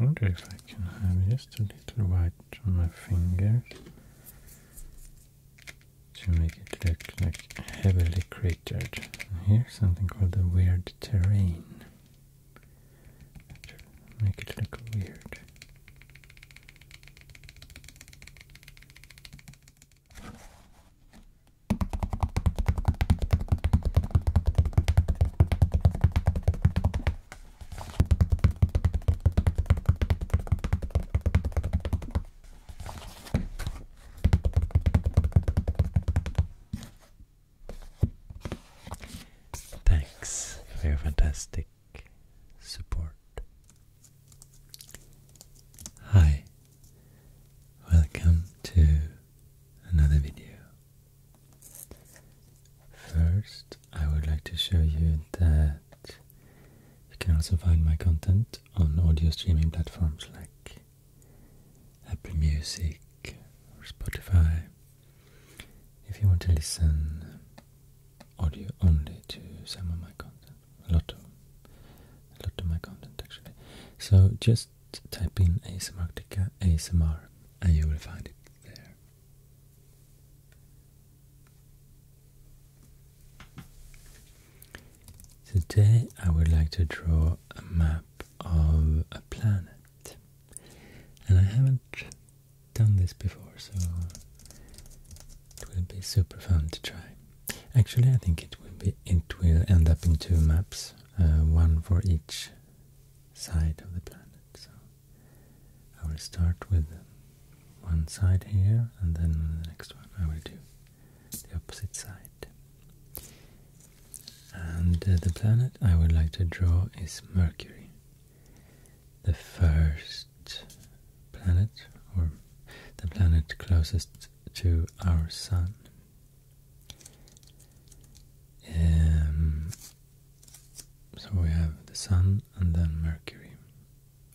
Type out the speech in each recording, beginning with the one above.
I wonder if I can have just a little white on my fingers to make it look like heavily cratered. And here's something called the weird terrain. To make it look weird. Thanks for your fantastic support. Hi, Welcome to another video. First, I would like to show you that you can also find my content on audio streaming platforms like Apple Music or Spotify. If you want to listen audio only to some of my content a a lot of my content actually. So just type in ASMRtica ASMR and you will find it there. Today I would like to draw a map of a planet. And I haven't done this before so it will be super fun to try. Actually, I think it will be it will end up in two maps, uh, one for each side of the planet. So I will start with one side here, and then the next one I will do the opposite side. And uh, the planet I would like to draw is Mercury, the first planet or the planet closest to our sun um, so we have the Sun and then Mercury,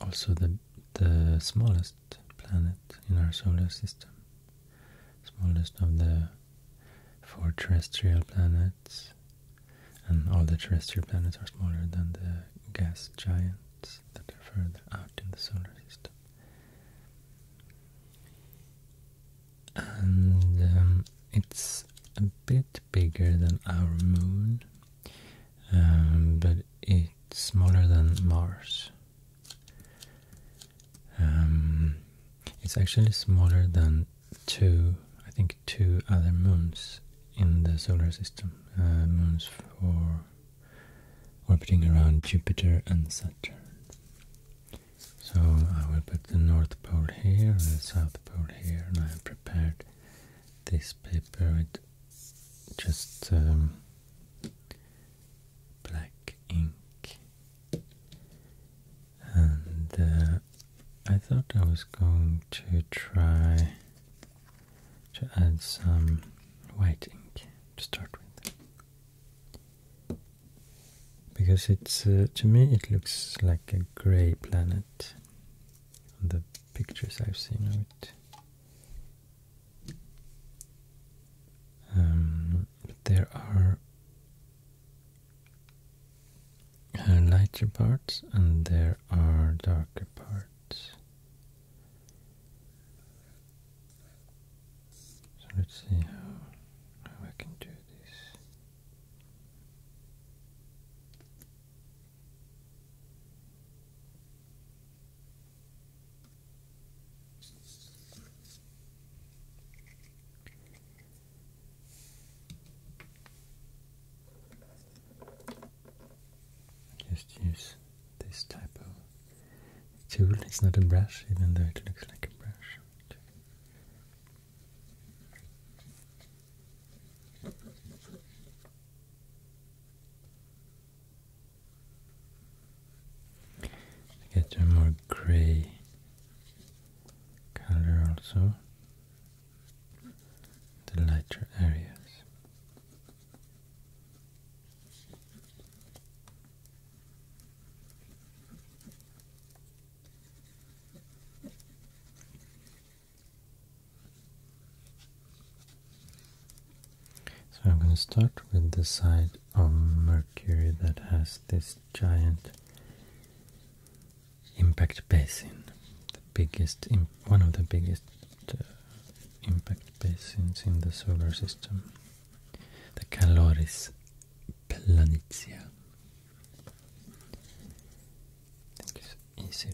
also the the smallest planet in our solar system, smallest of the four terrestrial planets, and all the terrestrial planets are smaller than the gas giants that are further out in the solar system. And um, it's a bit bigger than our moon, um, but it's smaller than Mars. Um, it's actually smaller than two, I think, two other moons in the solar system. Uh, moons for orbiting around Jupiter and Saturn. So I will put the North Pole here and the South Pole here and I have prepared this paper with just um, black ink and uh, I thought I was going to try to add some white ink to start with because it's uh, to me it looks like a gray planet on the pictures I've seen of it. Um, there are uh, lighter parts and there are darker parts. So let's see how, I can do this. Just use this type of tool. It's not a brush, even though it looks like a brush. Get a more grey color also, the lighter areas. So I'm going to start with the side of Mercury that has this giant impact basin, the biggest, one of the biggest uh, impact basins in the solar system the Caloris planitia. I think it's easier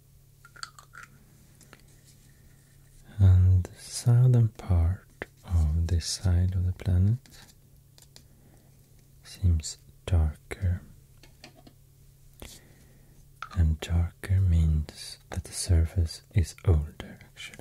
And the southern part of this side of the planet seems darker. And darker means that the surface is older actually.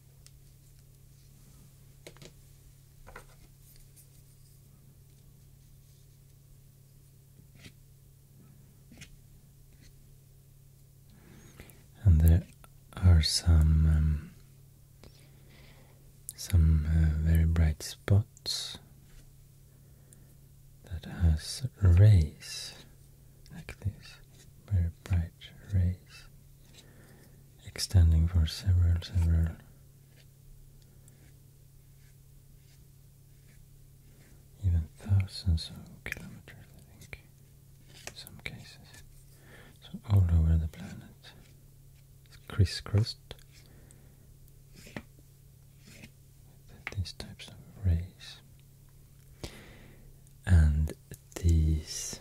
And there are some um, some uh, very bright spots that has rays like this, very bright rays extending for several, several even thousands of kilometers, I think, in some cases. So all over the planet, it's crisscrossed these types of rays. And these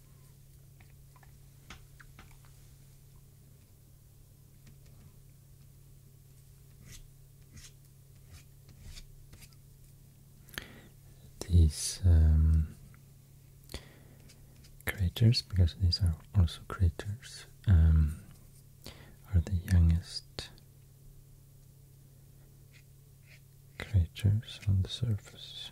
These um, craters, because these are also craters, um, are the youngest craters on the surface.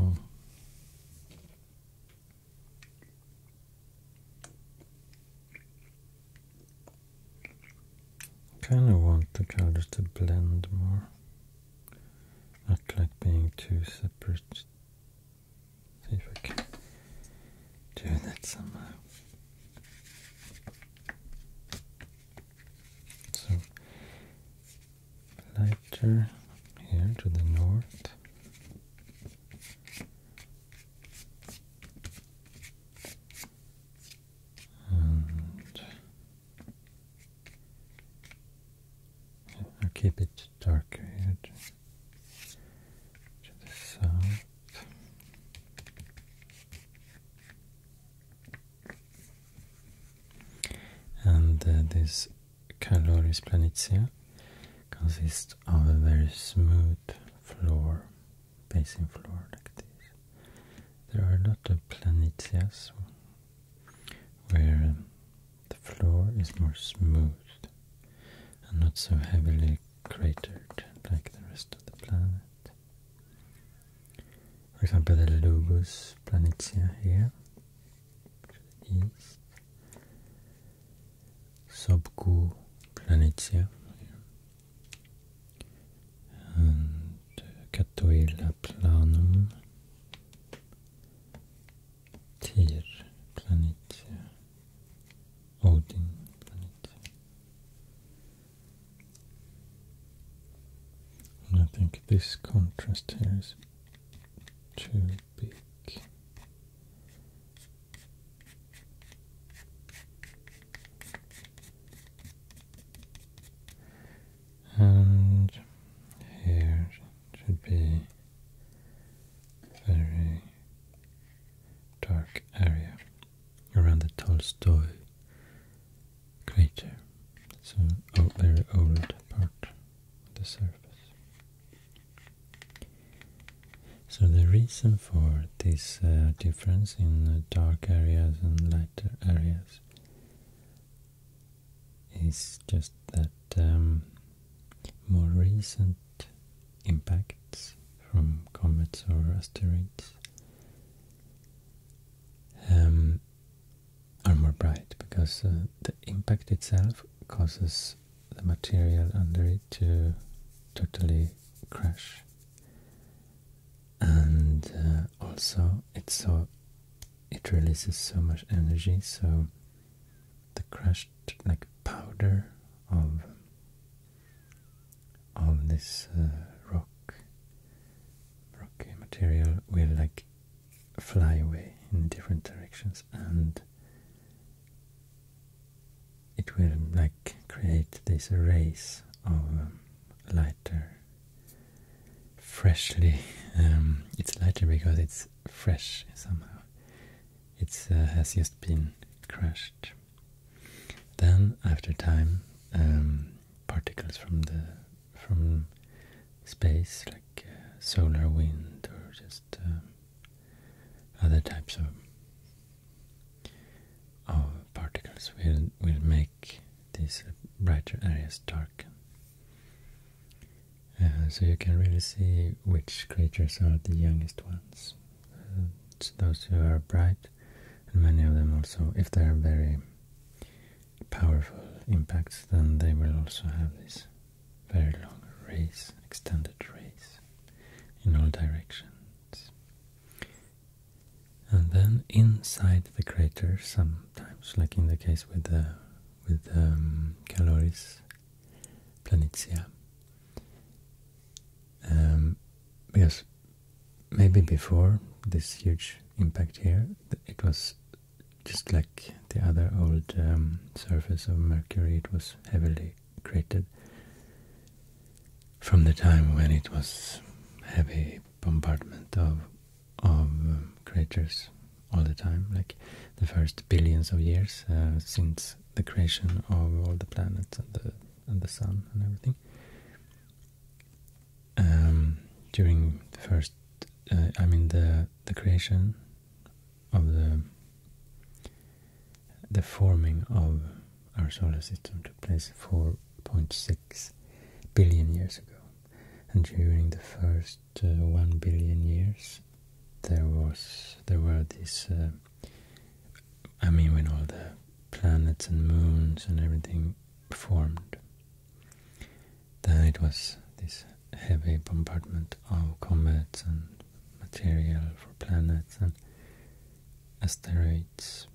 Oh. Kind of want the colors to blend more, not like being too separate. See if I can do that somehow. So lighter here to the north. And I'll keep it darker here to the south. And uh, this Caloris planitia consists of a very smooth floor, basin floor like this. There are a lot of planitias where the floor is more smooth and not so heavily cratered like the rest of the planet. For example, the Logos Planitia here to the east. Subgu Planitia and Catoila Planum, Tyr Planitia, Odin Planitia. I think this contrast here is too big. And here should be very dark area around the Tolstoy crater. It's very old part of the surface. So the reason for this uh, difference in dark areas and lighter areas is just that um, more recent impacts from comets or asteroids um, are more bright because uh, the impact itself causes the material under it to totally crash and uh, also it's so it releases so much energy so the crushed like powder of of this uh, rock rocky material will like fly away in different directions and it will like create this race of um, lighter freshly um, it's lighter because it's fresh somehow it uh, has just been crushed then after time um, particles from the from space, like uh, solar wind or just uh, other types of of particles will will make these brighter areas dark. Uh, so you can really see which creatures are the youngest ones. those who are bright, and many of them also, if they are very powerful impacts, then they will also have this very long rays, extended rays in all directions. And then inside the crater, sometimes, like in the case with the with um, Caloris Planitia, um, because maybe before this huge impact here, it was just like the other old um, surface of Mercury, it was heavily cratered from the time when it was heavy bombardment of of um, all the time, like the first billions of years uh, since the creation of all the planets and the and the sun and everything. Um, during the first uh, I mean the the creation of the the forming of our solar system took place 4.6 billion years ago, and during the first uh, one billion years, there was there were these. Uh, I mean, when all the planets and moons and everything formed, then it was this heavy bombardment of comets and material for planets and asteroids.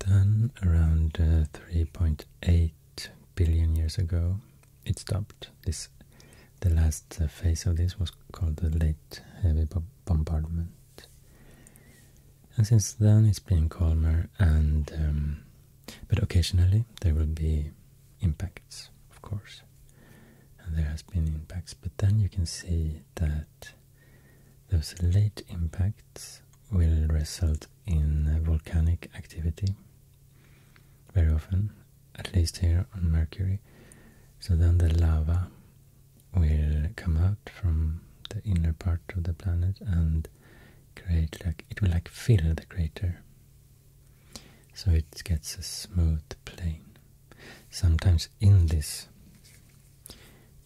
Then, around uh, 3.8 billion years ago, it stopped. This, the last uh, phase of this was called the Late Heavy Bombardment. And since then, it's been calmer and um, but occasionally there will be impacts, of course, and there has been impacts. But then you can see that those late impacts will result in volcanic activity very often, at least here on Mercury. So then the lava will come out from the inner part of the planet and create like it will like fill the crater so it gets a smooth plane. Sometimes in this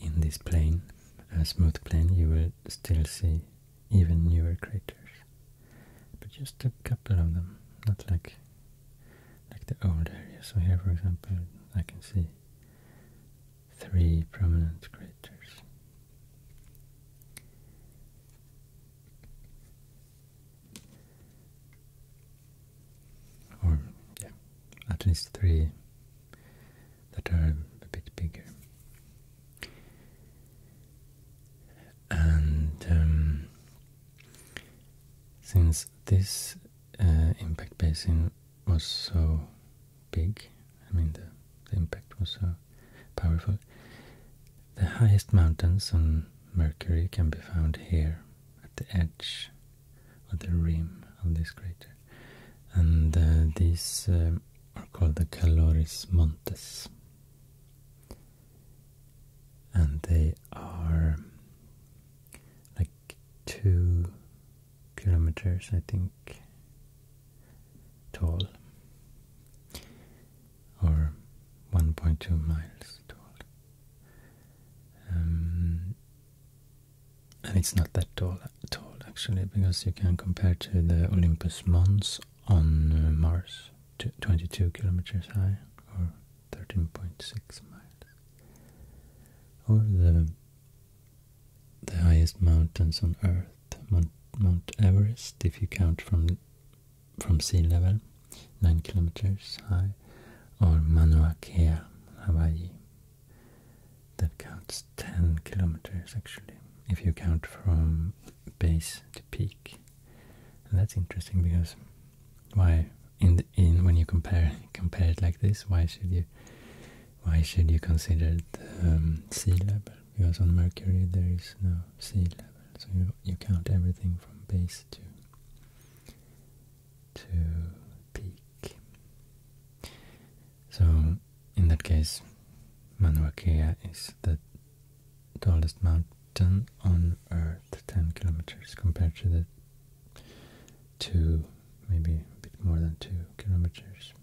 in this plane, a smooth plane, you will still see even newer craters, but just a couple of them, not like like the old area. So here, for example, I can see three prominent craters or yeah, at least three that are a bit bigger. And um, since this uh, impact basin was so big, I mean the impact was so powerful. The highest mountains on Mercury can be found here at the edge or the rim of this crater, and uh, these uh, are called the Caloris Montes, and they are like two kilometers, I think, tall or 1.2 miles tall. Um, and it's not that tall, at all, actually, because you can compare to the Olympus Mons on uh, Mars, 22 kilometers high, or 13.6 miles. Or the the highest mountains on Earth, Mount Everest, if you count from from sea level, 9 kilometers high, or Mauna Kea, Hawaii. That counts 10 kilometers actually, if you count from base to peak. And that's interesting because why in the, in when you compare compare it like this, why should you why should you consider the um, sea level? because on Mercury there is no sea level, so you, you count everything from base to to peak. So in that case, Mauna is the tallest mountain on Earth, 10 kilometers, compared to the two, maybe a bit more than two kilometers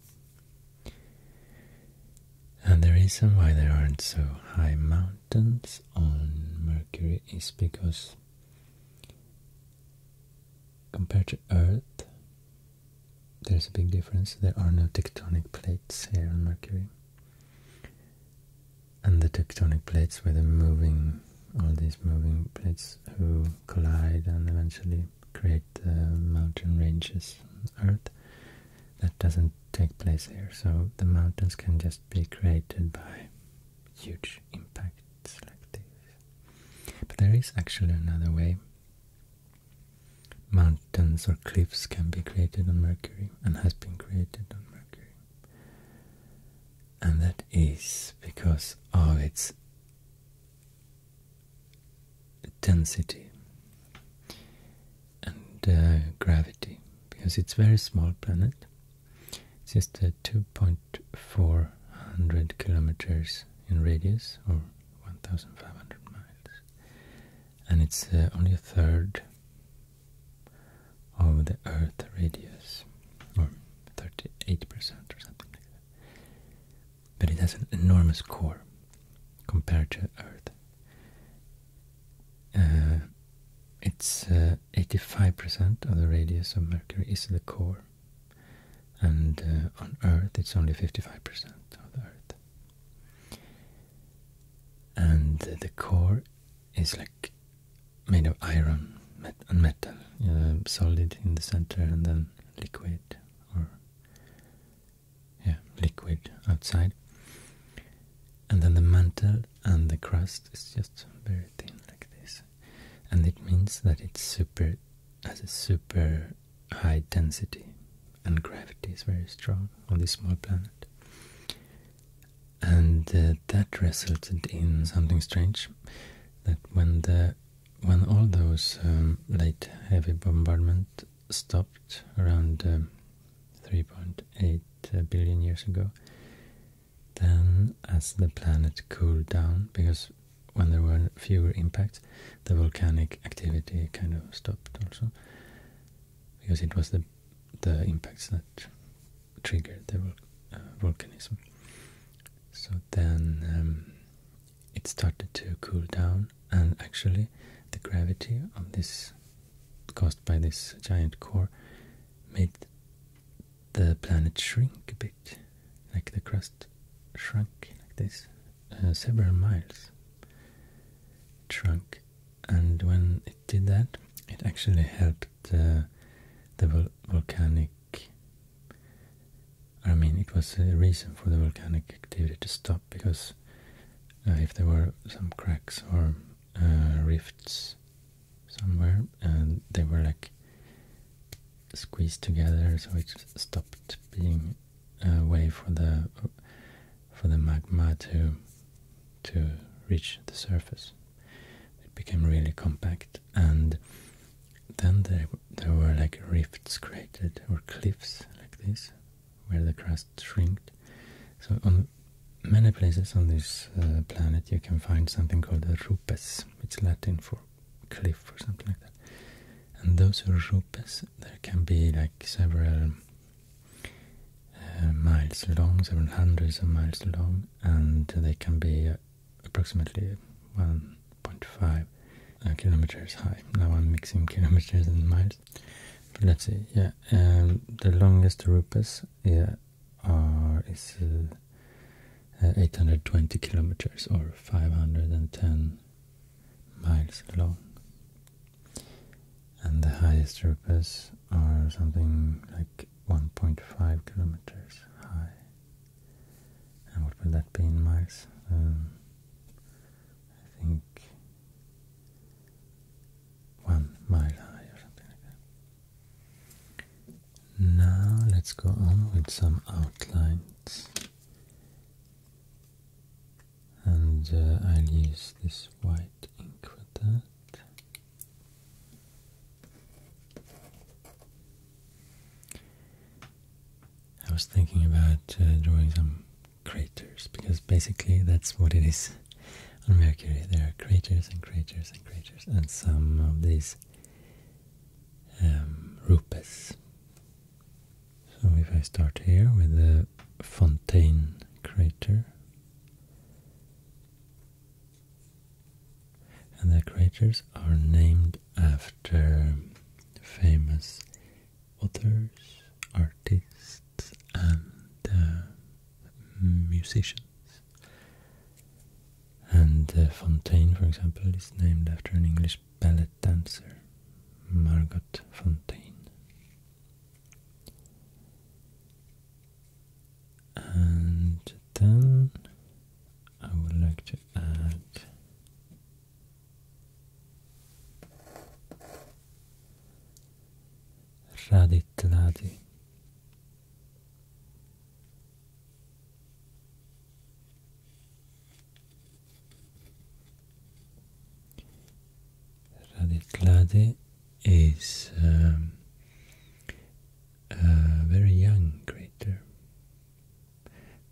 and the reason why there aren't so high mountains on Mercury is because compared to Earth, there's a big difference. There are no tectonic plates here on Mercury. And the tectonic plates were the moving, all these moving plates who collide and eventually create mountain ranges on Earth that doesn't take place here. So the mountains can just be created by huge impacts like But there is actually another way. Mountains or cliffs can be created on Mercury and has been created on Mercury. And that is because of its density and uh, gravity because it's a very small planet. It's just uh, 2.400 kilometers in radius or 1,500 miles, and it's uh, only a third of the Earth radius, or 38% or something like that. But it has an enormous core compared to Earth. Uh, it's 85% uh, of the radius of Mercury is the core, and uh, on Earth it's only 55% of the Earth. And the core is like made of iron met and metal, solid in the center and then liquid or yeah, liquid outside. And then the mantle and the crust is just very thin like this. And it means that it's super has a super high density and gravity is very strong on this small planet. And uh, that resulted in something strange that when the when all those um, late heavy bombardment stopped around um, 3.8 uh, billion years ago. Then, as the planet cooled down, because when there were fewer impacts, the volcanic activity kind of stopped also, because it was the the impacts that triggered the uh, volcanism. So then um, it started to cool down, and actually, the gravity of this caused by this giant core made the planet shrink a bit, like the crust shrunk like this, uh, several miles. It shrunk, and when it did that, it actually helped uh, the volcanic. I mean, it was a reason for the volcanic activity to stop because uh, if there were some cracks or uh, rifts somewhere and they were like squeezed together so it stopped being a way for the for the magma to to reach the surface it became really compact and then there, there were like rifts created or cliffs like this where the crust shrinked. So on many places on this uh, planet you can find something called a rupes. It's Latin for cliff or something like that. And those rupes, there can be like several uh, miles long, several hundreds of miles long, and they can be approximately 1.5 uh, kilometers high. Now I'm mixing kilometers and miles. Let's see. Yeah, um, the longest rupes yeah, are is uh, uh, 820 kilometers or 510 miles long, and the highest rupes are something like 1.5 kilometers high. And what will that be in miles? Um, I think one mile high or something like that. Now let's go on with some outlines. And uh, I'll use this white ink for that. I was thinking about uh, drawing some craters because basically that's what it is on Mercury. There are craters and craters and craters, and some of these um, rupes. So if I start here with the Fontaine crater, and the craters are named after famous authors, artists, and uh, musicians. And uh, Fontaine, for example, is named after an English ballet dancer, Margot Fontaine. And then I would like to add raditladi. Raditladi is um, a very young crater,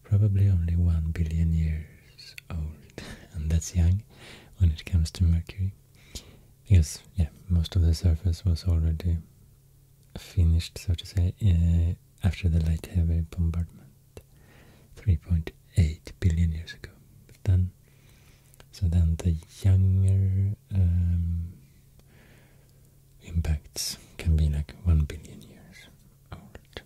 probably only one billion years old, and that's young when it comes to Mercury because yeah, most of the surface was already finished, so to say, uh, after the light heavy bombardment, 3.8 billion years ago. then, so then the younger um, impacts can be like 1 billion years old.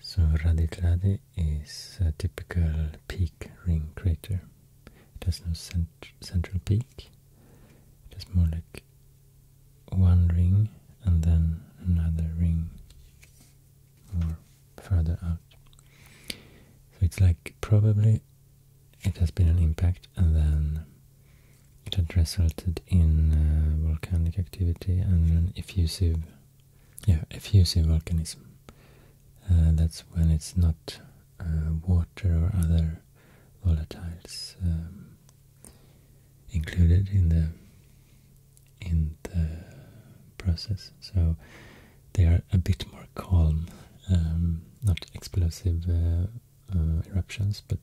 So Radit Radi is a typical peak ring crater. It has no central peak. It has more like one ring and then another ring more further out. So it's like probably it has been an impact and then it had resulted in uh, volcanic activity and an effusive, yeah, effusive volcanism. Uh, that's when it's not uh, water or other volatiles um, included in the in the process. So they are a bit more calm, um, not explosive uh, eruptions, but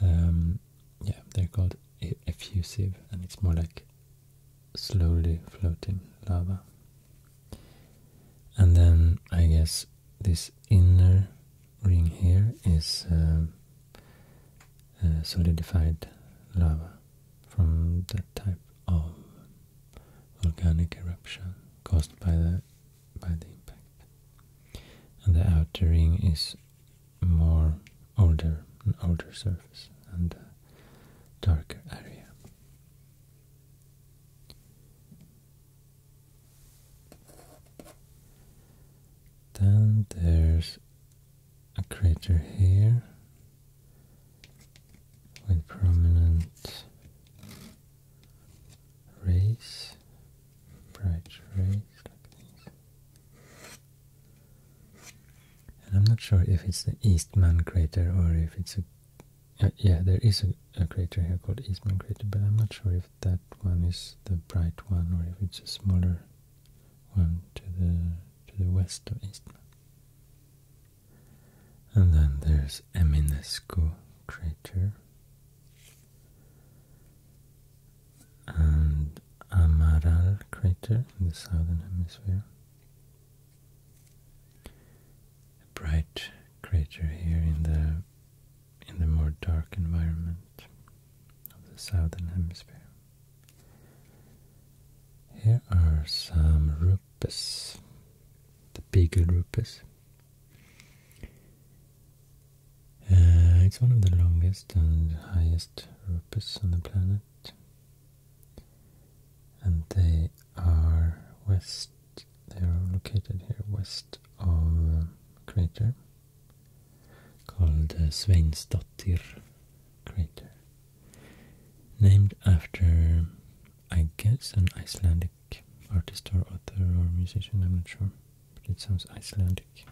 um, yeah, they're called effusive, and it's more like slowly floating lava. And then I guess this inner ring here is um, uh, solidified lava from that type of volcanic eruption caused by the by the impact. And the outer ring is more older, an older surface and darker area. Then there's a crater here with prominent rays, bright rays like this. And I'm not sure if it's the Eastman crater or if it's a uh, yeah, there is a, a, crater here called Eastman Crater, but I'm not sure if that one is the bright one or if it's a smaller one to the to the west of Eastman. And then there's Eminescu Crater and Amaral Crater in the southern hemisphere a bright creature here in the in the more dark environment of the southern hemisphere. Here are some rupes, the beagle rupes. Uh, it's one of the longest and highest rupes on the planet, and they are west, they are located here west of a um, crater called uh, Sveinsdottir crater, named after, I guess, an Icelandic artist or author or musician, I'm not sure, but it sounds Icelandic.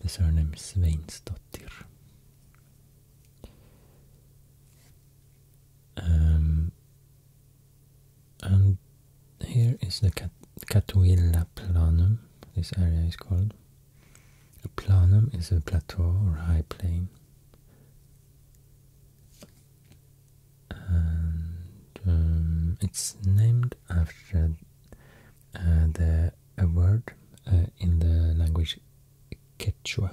The surname is Sveinsdottir. Um, and here is the Cat Catuilla planum, this area is called. A planum is a plateau or high plain. And um, it's named after uh, the a word uh, in the language Quechua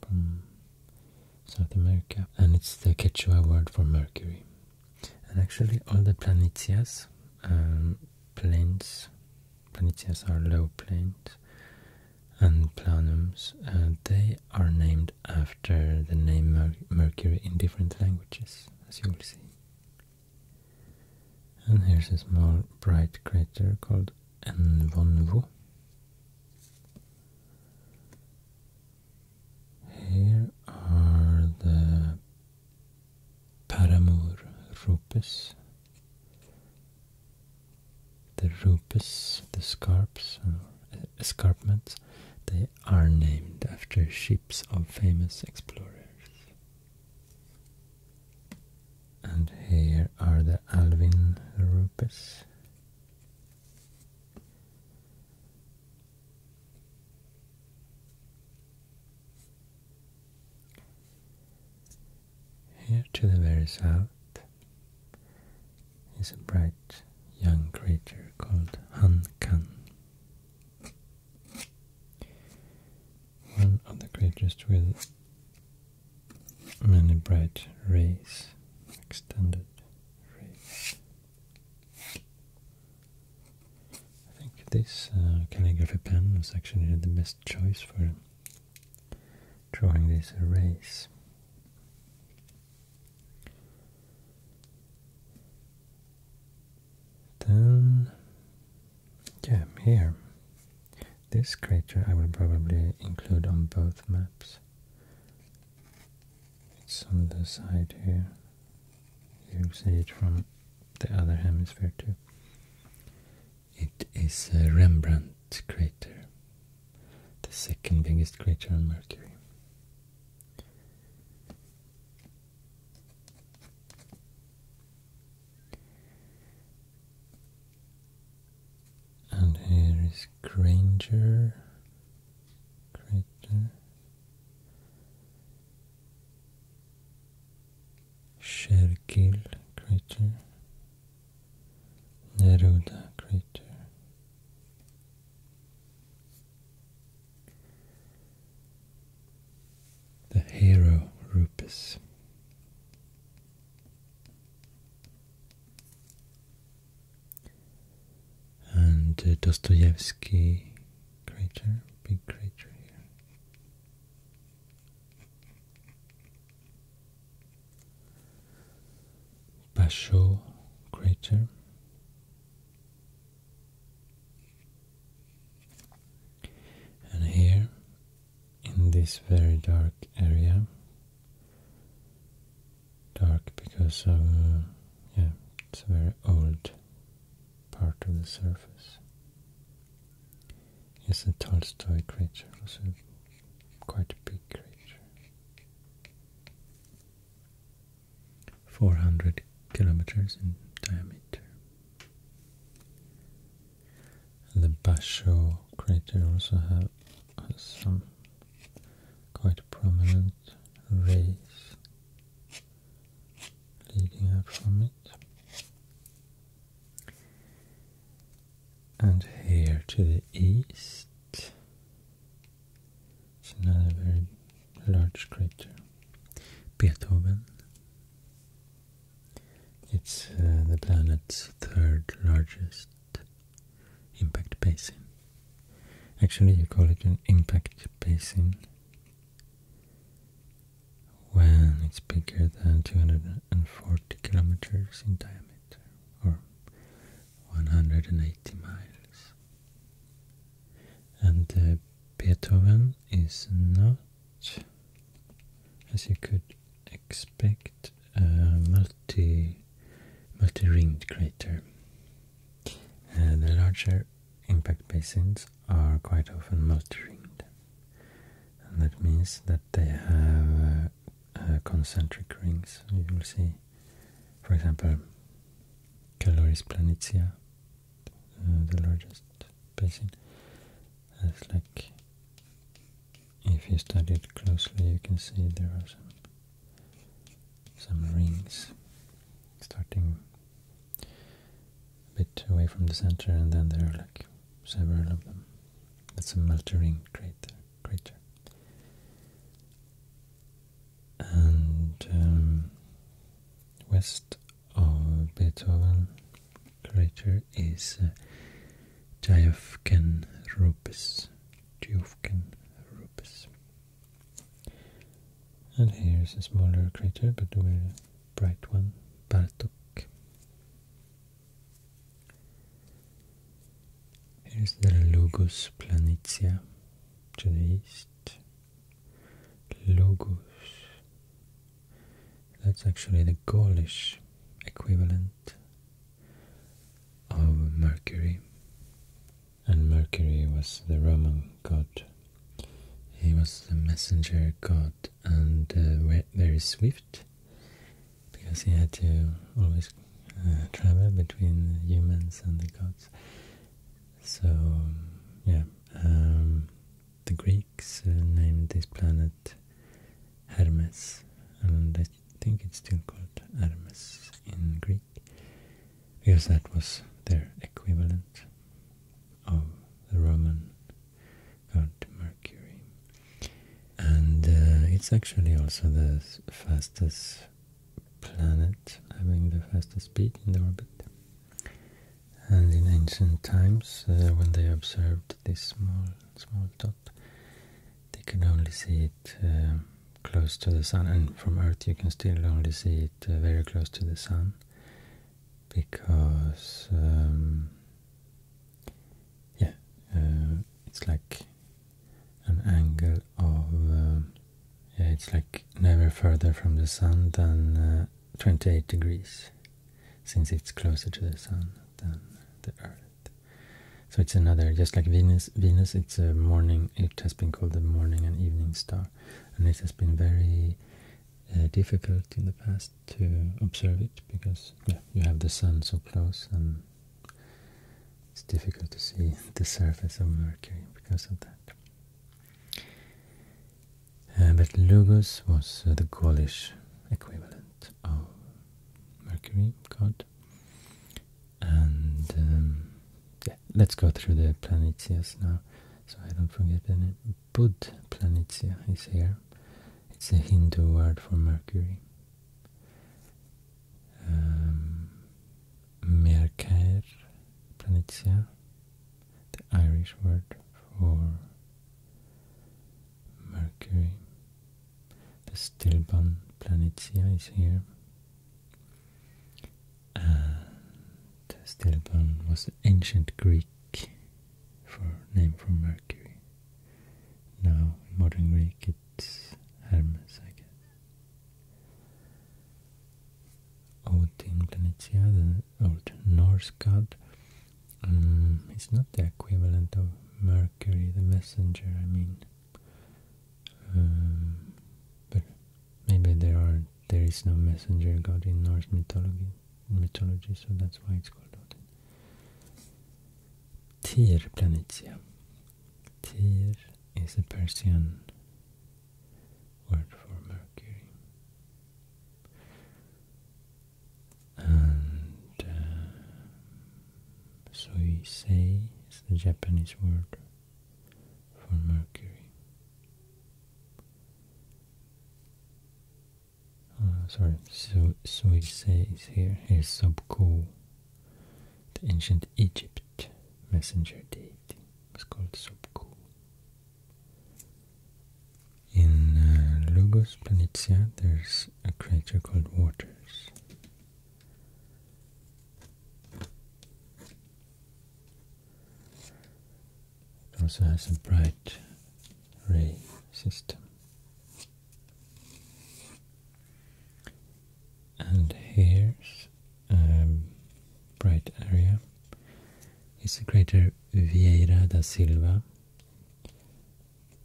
from South America, and it's the Quechua word for Mercury. And actually, all the planetias, um, planes, planetias are low planes, and planums, uh, they are named after the name Mercury in different languages, as you will see. And here's a small bright crater called and Vonvo. Here are the Paramour rupes, the rupes, the scarps or uh, escarpments. They are named after ships of famous explorers. And here are the Alvin Rupes. Here to the very south is a bright young creature called Han Kan. One of the creatures with many bright rays, extended rays. I think this uh, calligraphy pen was actually the best choice for drawing these rays. Then, yeah, here this crater I will probably include on both maps. It's on the side here. You see it from the other hemisphere too. It is a Rembrandt crater, the second biggest crater on Mercury. And here is Granger crater. Shergill crater. Neruda crater. The hero Rupes and uh, Dostoevsky crater, big crater here. Basho crater. And here in this very dark area. Dark because of, yeah, it's a very old part of the surface. It's a Tolstoy creature, also quite a big creature. 400 kilometers in diameter. And the Basho crater also have, has some quite prominent rays leading up from it. And here to the east, it's another very large crater, Beethoven. It's uh, the planet's third largest impact basin. Actually, you call it an impact basin when it's bigger than 240 kilometers in diameter or 180 miles. And uh, Beethoven is not, as you could expect, uh, multi multi-ringed crater. Uh, the larger impact basins are quite often multi-ringed, and that means that they have uh, concentric rings. You will see, for example, Caloris Planitia, the largest basin, has like if you study it closely you can see there are some some rings starting a bit away from the center and then there are like several of them. That's a multi crater. crater. And um, west of Beethoven crater is uh, Diofken Rupis, Diofken Rupis, And here's a smaller crater, but a very bright one, Bartok. Here's the Logos Planitia to the east. Logos. That's actually the Gaulish equivalent of Mercury. And Mercury was the Roman god. He was the messenger god and uh, very swift because he had to always uh, travel between humans and the gods. So, yeah, um, the Greeks uh, named this planet Hermes, and they I think it's still called Hermes in Greek, because that was their equivalent of the Roman god Mercury. And uh, it's actually also the fastest planet, having the fastest speed in the orbit. And in ancient times, uh, when they observed this small, small dot, they can only see it um, close to the sun, and from Earth you can still only see it uh, very close to the sun because, um, yeah, uh, it's like an angle of um, yeah, it's like never further from the sun than uh, 28 degrees since it's closer to the sun than the Earth. So it's another, just like Venus. Venus, it's a morning. It has been called the morning and evening star, and it has been very uh, difficult in the past to observe it because you have the sun so close, and it's difficult to see the surface of Mercury because of that. Uh, but Lugus was uh, the Gaulish equivalent of oh, Mercury god. And um, yeah, let's go through the Planetias now, so I don't forget any. Bud Planitia is here. It's a Hindu word for Mercury. Um, Mercair Planitia, the Irish word for Mercury. The stillborn Planitia is here. And stillborn was an ancient Greek for name for Mercury. Now in modern Greek it's Hermes, I guess. Odin Planitia, the old Norse god. Mm, is not the equivalent of Mercury, the messenger, I mean. Um, but maybe there are there is no messenger god in Norse mythology, mythology, so that's why it's called Odin. Tyr Planitia. Tyr is a Persian word for Mercury. Uh, Suisei is the Japanese word for Mercury. Uh, sorry, Su Suisei is here. Here's Sobku, the ancient Egypt messenger deity. It's called Sobku. In uh, Planitia, there's a crater called Waters. It also has a bright ray system. And here's a bright area. It's the crater Vieira da Silva,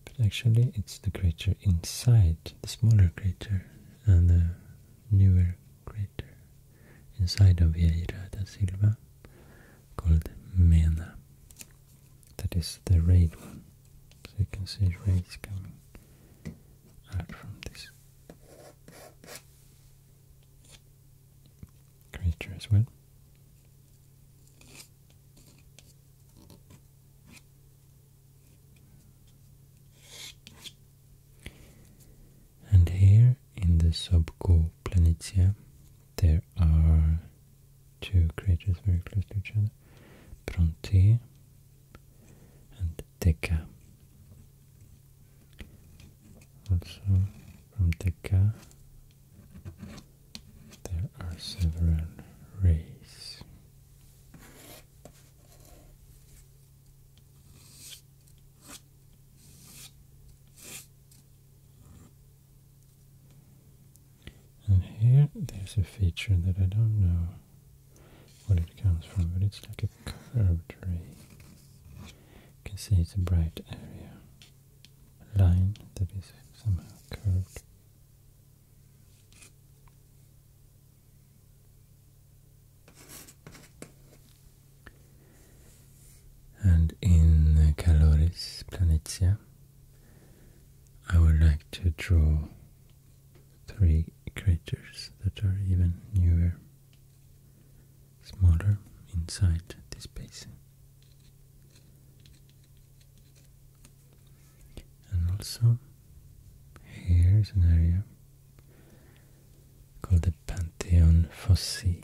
but actually it's the crater inside, the smaller crater and the newer crater inside of Vieira da Silva called Mena. That is the raid one. So you can see raids coming out from this crater as well. And here in the Sobco Planitia, there are two craters very close to each other, Bronte and Deca. Also from Deca, there are several rays. And here there's a feature that I don't know what it comes from, but it's like a curved ray. You can see it's a bright area. line that is somehow curved. And in Caloris Planitia, I would like to draw three craters that are even newer, smaller inside this basin. And also, here is an area called the Pantheon Fossi,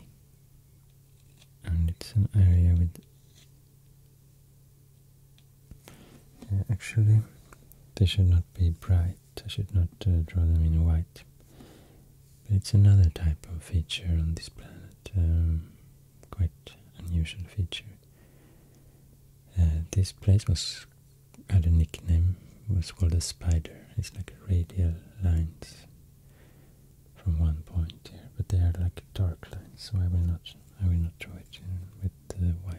and it's an area with uh, actually they should not be bright. I should not uh, draw them in white. But it's another type of feature on this planet, um, quite unusual feature. Uh, this place was had a nickname, it was called the spider. It's like radial lines from one point here, but they are like dark lines, so I will not I will not draw it with the white.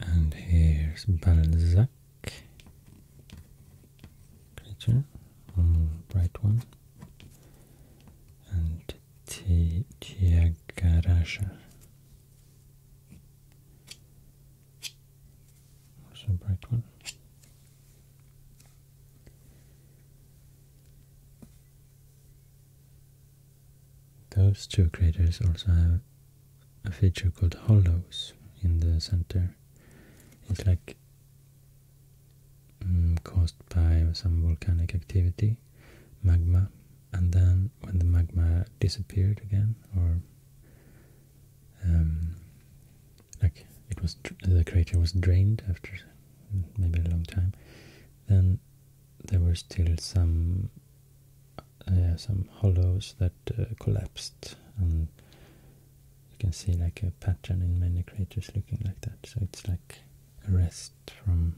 And here's Balzac creature, a mm, bright one. And T Tyagarasha. That's a bright one. Those two craters also have a feature called hollows in the center. It's like mm, caused by some volcanic activity magma and then when the magma disappeared again or um, like it was the crater was drained after maybe a long time then there were still some uh, some hollows that uh, collapsed and you can see like a pattern in many craters looking like that so it's like a rest from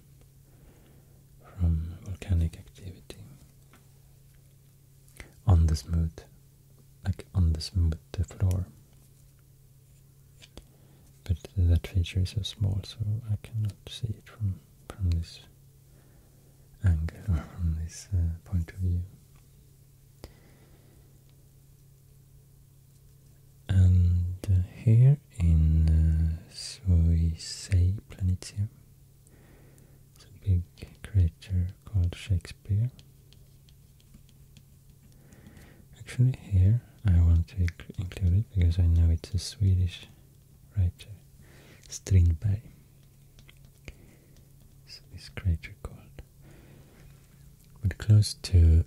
from volcanic activity on the smooth, like on the smooth floor. But that feature is so small, so I cannot see it from from this angle from this uh, point of view. And uh, here here in uh, Suisei Planetium. It's a big crater called Shakespeare. Actually, here I want to include it because I know it's a Swedish writer, Strindberg. So this crater called. But close to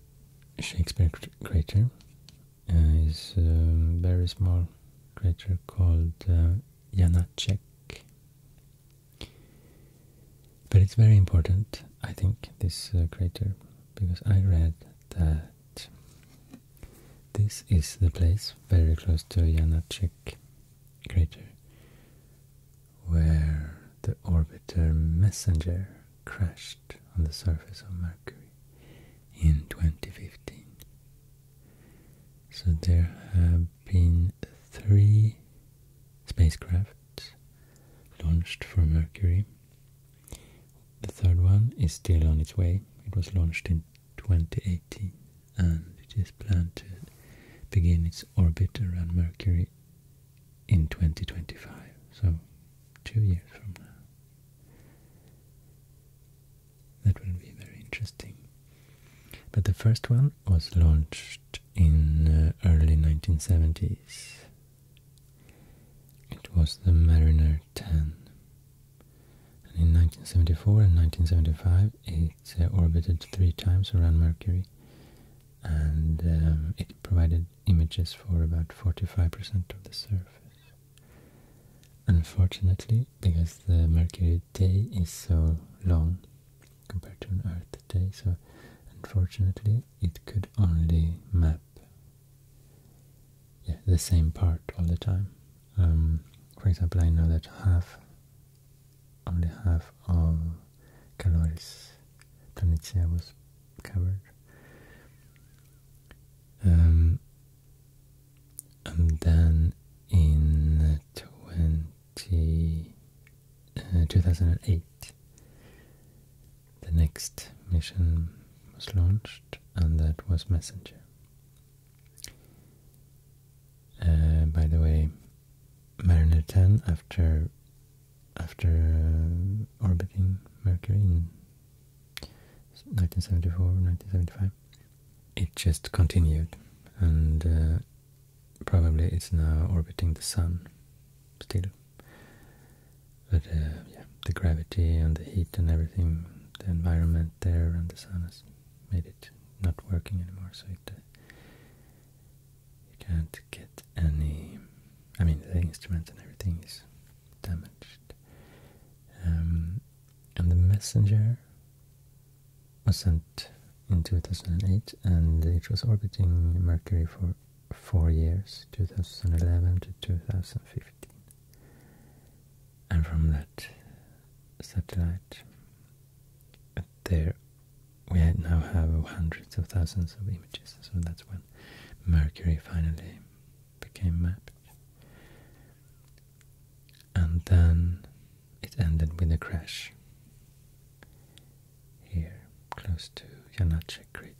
Shakespeare crater uh, is a very small crater called uh, Janacek. But it's very important, I think, this uh, crater, because I read that this is the place very close to Janacek crater where the orbiter Messenger crashed on the surface of Mercury in 2015. So there have been three spacecraft launched for Mercury. The third one is still on its way. It was launched in 2018 and it is planned to begin its orbit around Mercury in 2025, so two years from now. That will be very interesting. But the first one was launched in uh, early 1970s. It was the Mariner 10. And in 1974 and 1975 it uh, orbited three times around Mercury and um, it provided images for about 45% of the surface. Unfortunately, because the Mercury day is so long compared to an Earth day, so unfortunately it could only map yeah, the same part all the time. Um, for example, I know that half, only half of Caloris Planitia was covered. Um, and then in 20, uh, 2008, the next mission was launched, and that was Messenger. Uh, by the way, Mariner 10, after after uh, orbiting Mercury 1974, 1975. It just continued, and uh, probably it's now orbiting the sun still. But uh, yeah, the gravity and the heat and everything, the environment there and the sun has made it not working anymore. So it uh, you can't get any. I mean, the instruments and everything is damaged, um, and the messenger was sent in 2008 and it was orbiting Mercury for four years, 2011 to 2015. And from that satellite, there we now have hundreds of thousands of images, so that's when Mercury finally became mapped. And then it ended with a crash here, close to Janace crater.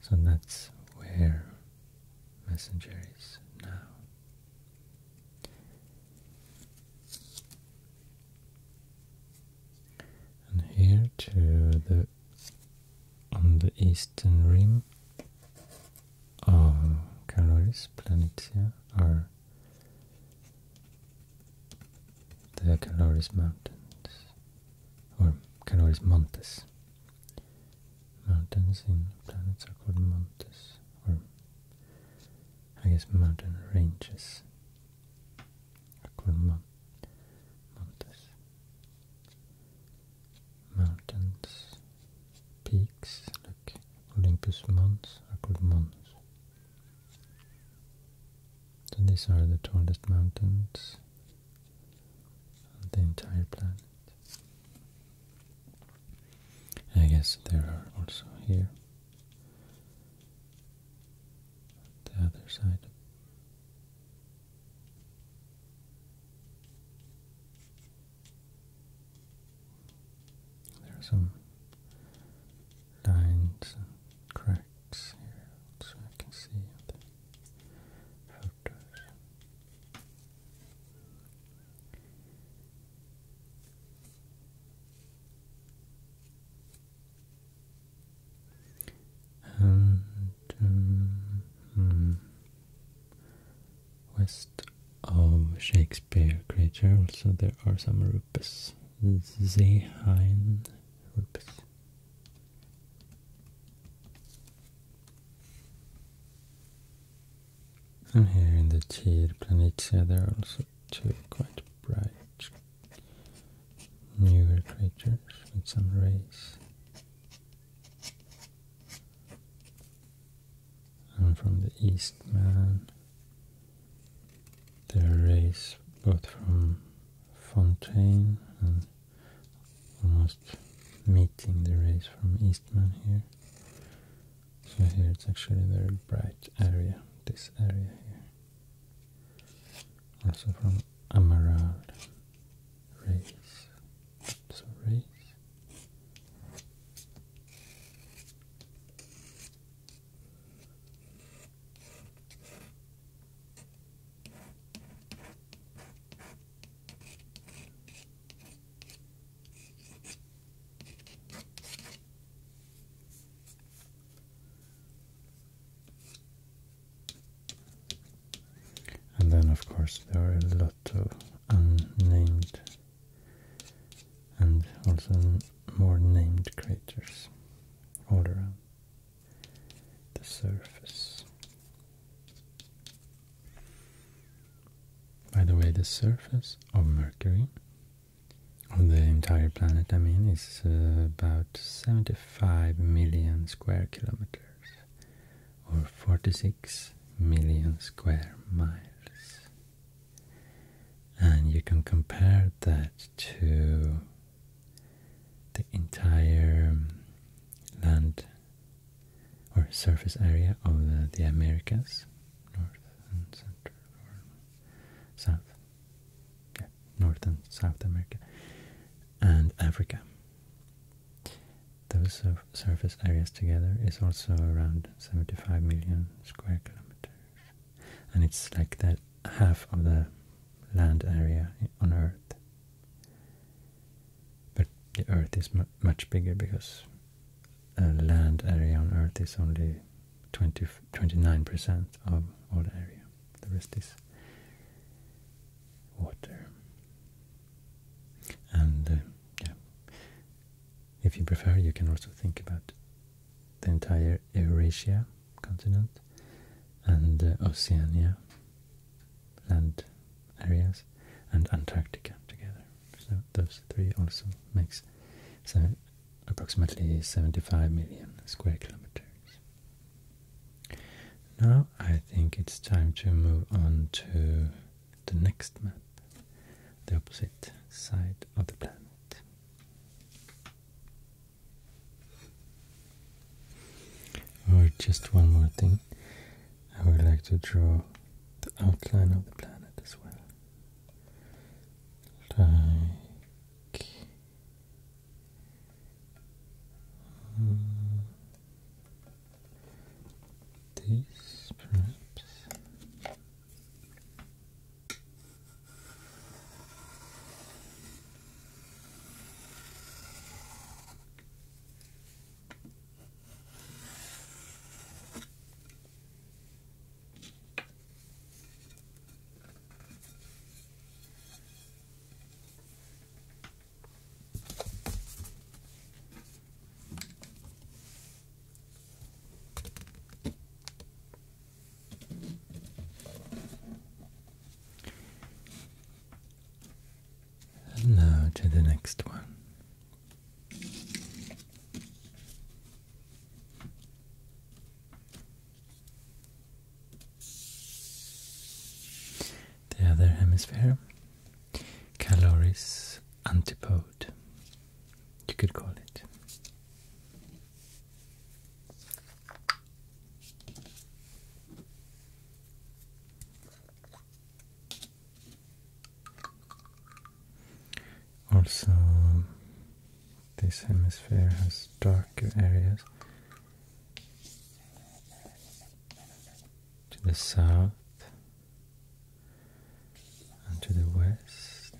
So that's where Messenger is now. And here to the on the eastern rim um, calories, Planitia, are the Caloris Mountains, or Caloris Montes. Mountains in planets are called montes, or I guess mountain ranges are called mon montes mountains, peaks, like Olympus Mons are called Mons. So these are the tallest mountains on the entire planet. I guess there are also here the other side. There are some lines and cracks here, so I can see the photos. And um, hmm. West of Shakespeare crater, also there are some rupes. Zeehain rupes. And here in the Tyr Planitia there are also two quite bright newer craters with some rays and from the Eastman. There are rays both from Fontaine and almost meeting the race from Eastman here. So here it's actually a very bright area, this area here. Also from Amaral race. So And then, of course, there are a lot Lotto, unnamed, and also more named craters all around the surface. By the way, the surface of Mercury, of the entire planet I mean, is uh, about 75 million square kilometers or 46 million square miles. And you can compare that to the entire um, land or surface area of the, Americas, North and Central or South, North and South America, and Africa. Those surface areas together is also around 75 million square kilometers. And it's like that half of the land area on Earth. But the Earth is much bigger because a land area on Earth is only 20, 29% of all area. The rest is water. And uh, yeah. If you prefer, you can also think about the entire Eurasia continent and uh, Oceania land areas and Antarctica together. So those three also makes so approximately 75 million square kilometers. Now I think it's time to move on to the next map, the opposite side of the planet. Or just one more thing, I would like to draw the outline of the planet as well. Like... Mm, this perhaps now to the next one. The other hemisphere Caloris antipode, you could call it. Also, this hemisphere has darker areas to the south and to the west,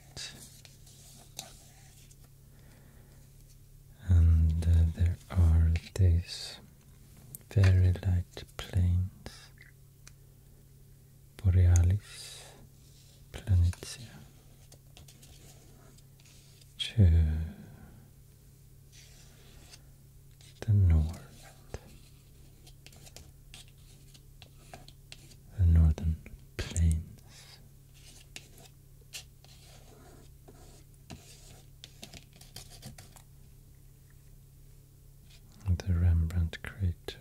and uh, there are these very light plains, Borealis, Planitia, to the north, the northern plains. The Rembrandt crater.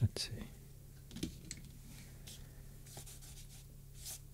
Let's see.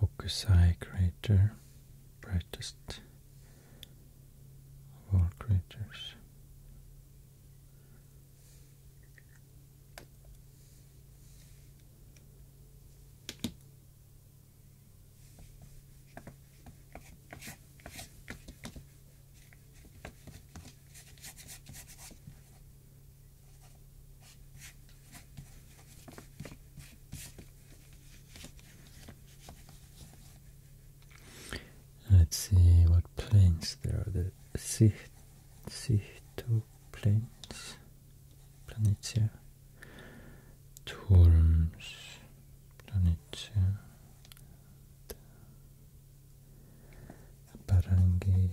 Hokusai crater, brightest of all craters. Let's see what planes there are. The two planes, Planitia, Torms, Planitia, Barangay,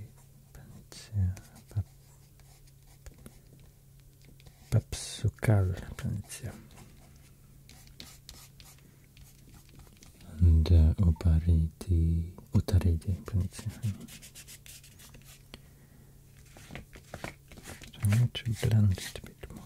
Papsukal planitia. And uh, Opariti, Utaridi planitia. So I need to blend it a bit more.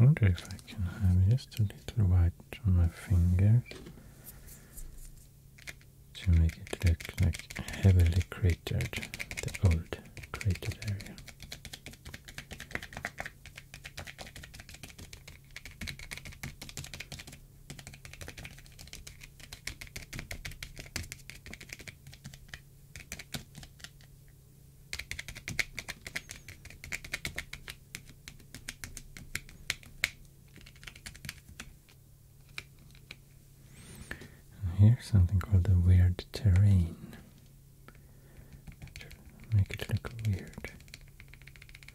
I wonder if I can have just a little white on my finger to make it look like heavily cratered, the old cratered area here's something called the weird terrain. Make it look weird.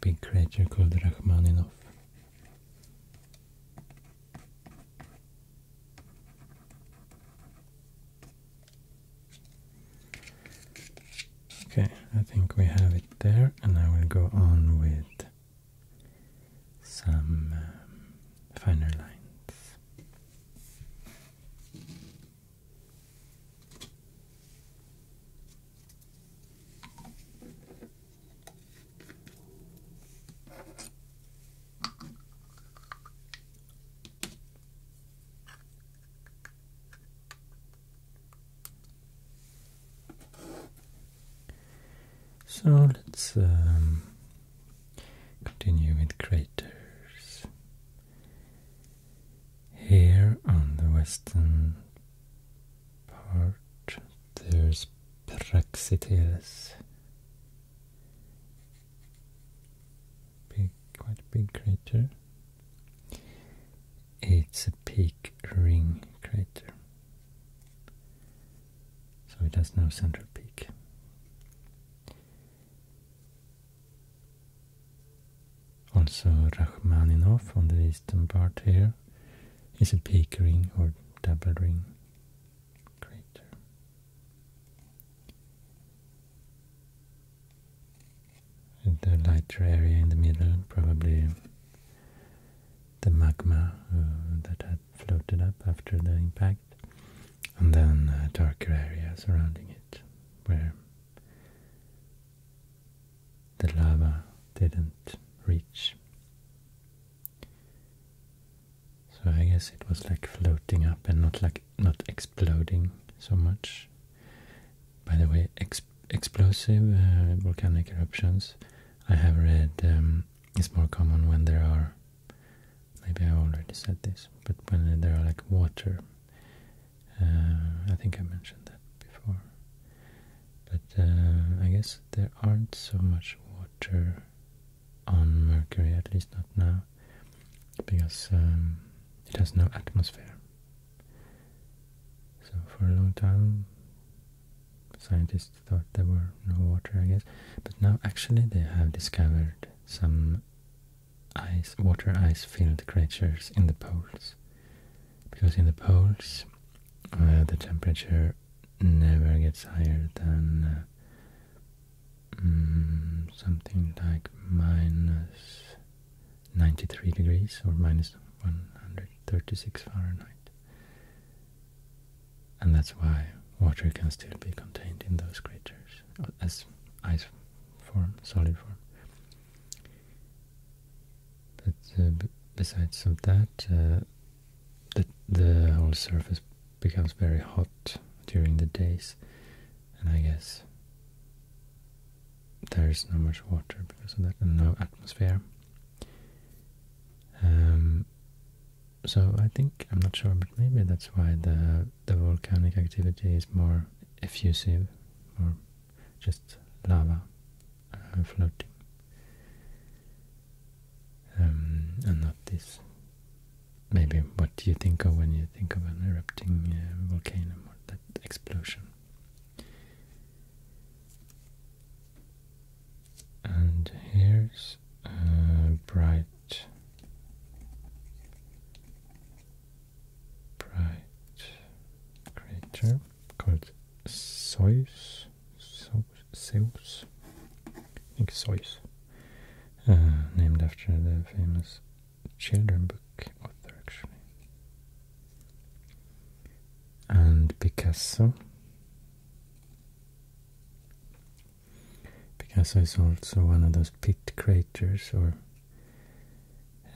Big creature called Rachmaninoff. Okay, I think we have it there, and I will go on with some um, finer lines. So let's um, continue with craters. Here on the western part, there's Praxiteles. Big, quite big crater. It's a peak ring crater. So it has no central peak. Also Rachmaninoff on the eastern part here is a peak ring or double ring crater. the lighter area in the middle, probably the magma uh, that had floated up after the impact, and then a uh, darker area surrounding it where the lava didn't reach. So I guess it was like floating up and not like not exploding so much. By the way, explosive uh, volcanic eruptions. I have read um, it's more common when there are, maybe I already said this, but when there are like water, uh, I think I mentioned that before. But uh, I guess there aren't so much water on Mercury, at least not now, because um, it has no atmosphere. So for a long time Scientists thought there were no water, I guess. But now actually they have discovered some ice, water ice-filled creatures in the poles. Because in the poles, uh, the temperature never gets higher than uh, mm, something like minus 93 degrees or minus 136 Fahrenheit. And that's why water can still be contained in those creatures as ice form, solid form. But uh, besides of that, uh, the, the whole surface becomes very hot during the days, and I guess there is not much water because of that, and no atmosphere. Um, so I think I'm not sure, but maybe that's why the the volcanic activity is more effusive, or just lava uh, floating, um, and not this. Maybe what you think of when you think of an erupting uh, volcano or that explosion and here's a bright bright creature called Zeus Zeus I think Zeus uh, named after the famous children book author actually and Picasso Picasso is also one of those pit craters, or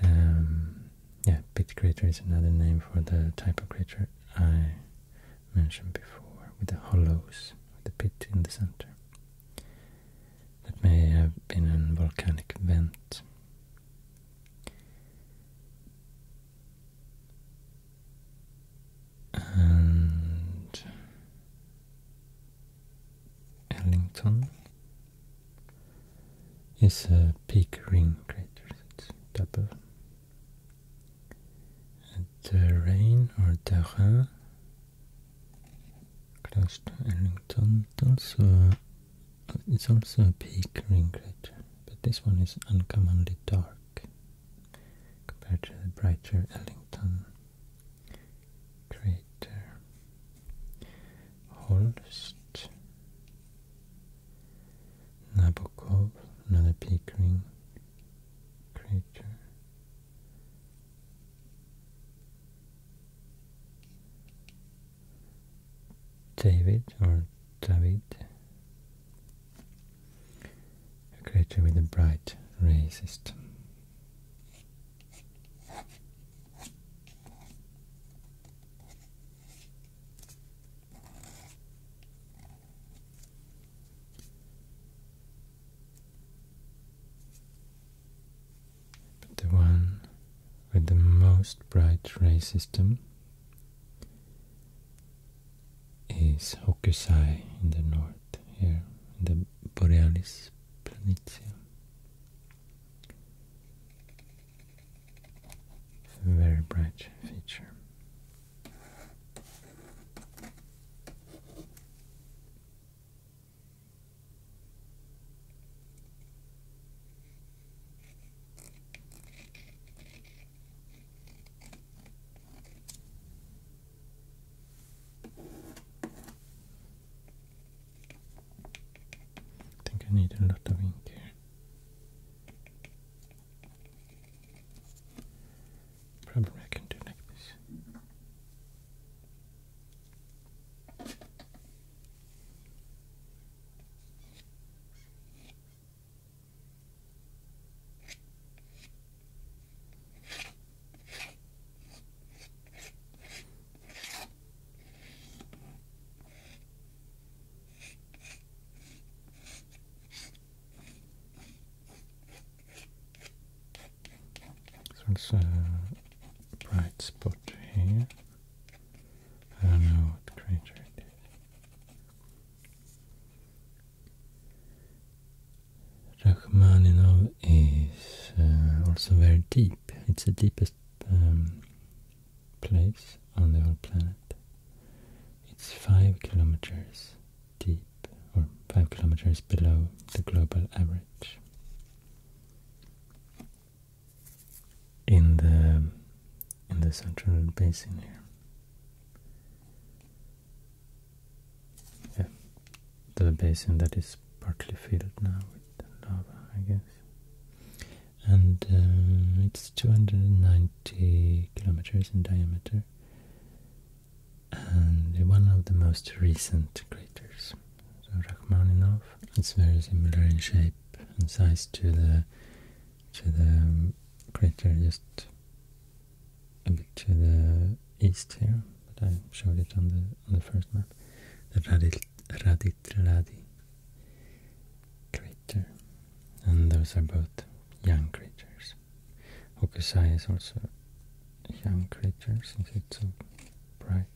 um, yeah, pit crater is another name for the type of crater I mentioned before, with the hollows, with the pit in the center. That may have been a volcanic vent and Ellington is a peak ring crater, it's double. Terrain or the terrain close to Ellington also it's also a peak ring crater, but this one is uncommonly dark compared to the brighter Ellington crater. Holst, Nabokov, another Pickering crater. David or David a creature with a bright ray system. But the one with the most bright ray system is Hokusai in the north here, in the Borealis Planitia. very bright feature. I think I need a lot of ink here. Probably I can do like this. So a uh, bright spot here. I know what creature it is. Rachmaninov is uh, also very deep. It's the deepest um, place on the whole planet. It's five kilometers deep, or five kilometers below the global average. In the in the central basin here yeah, the basin that is partly filled now with lava, I guess. And uh, it's 290 kilometers in diameter, and one of the most recent craters. So Rachmaninov. It's very similar in shape and size to the to the crater just a bit to the east here, but I showed it on the on the first map. The Radit Raditradi crater. And those are both young craters. Hokusai is also young creature since it's so bright.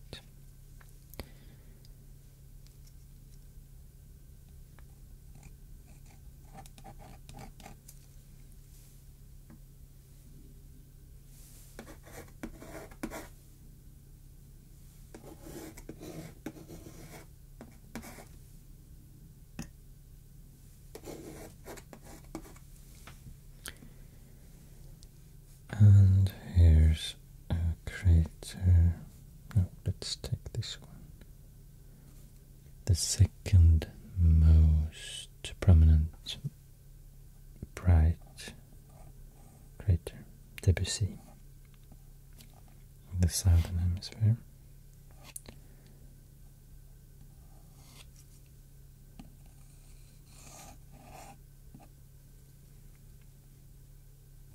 And here's a crater. No, let's take this one the second most prominent bright crater, Debussy, in the southern hemisphere.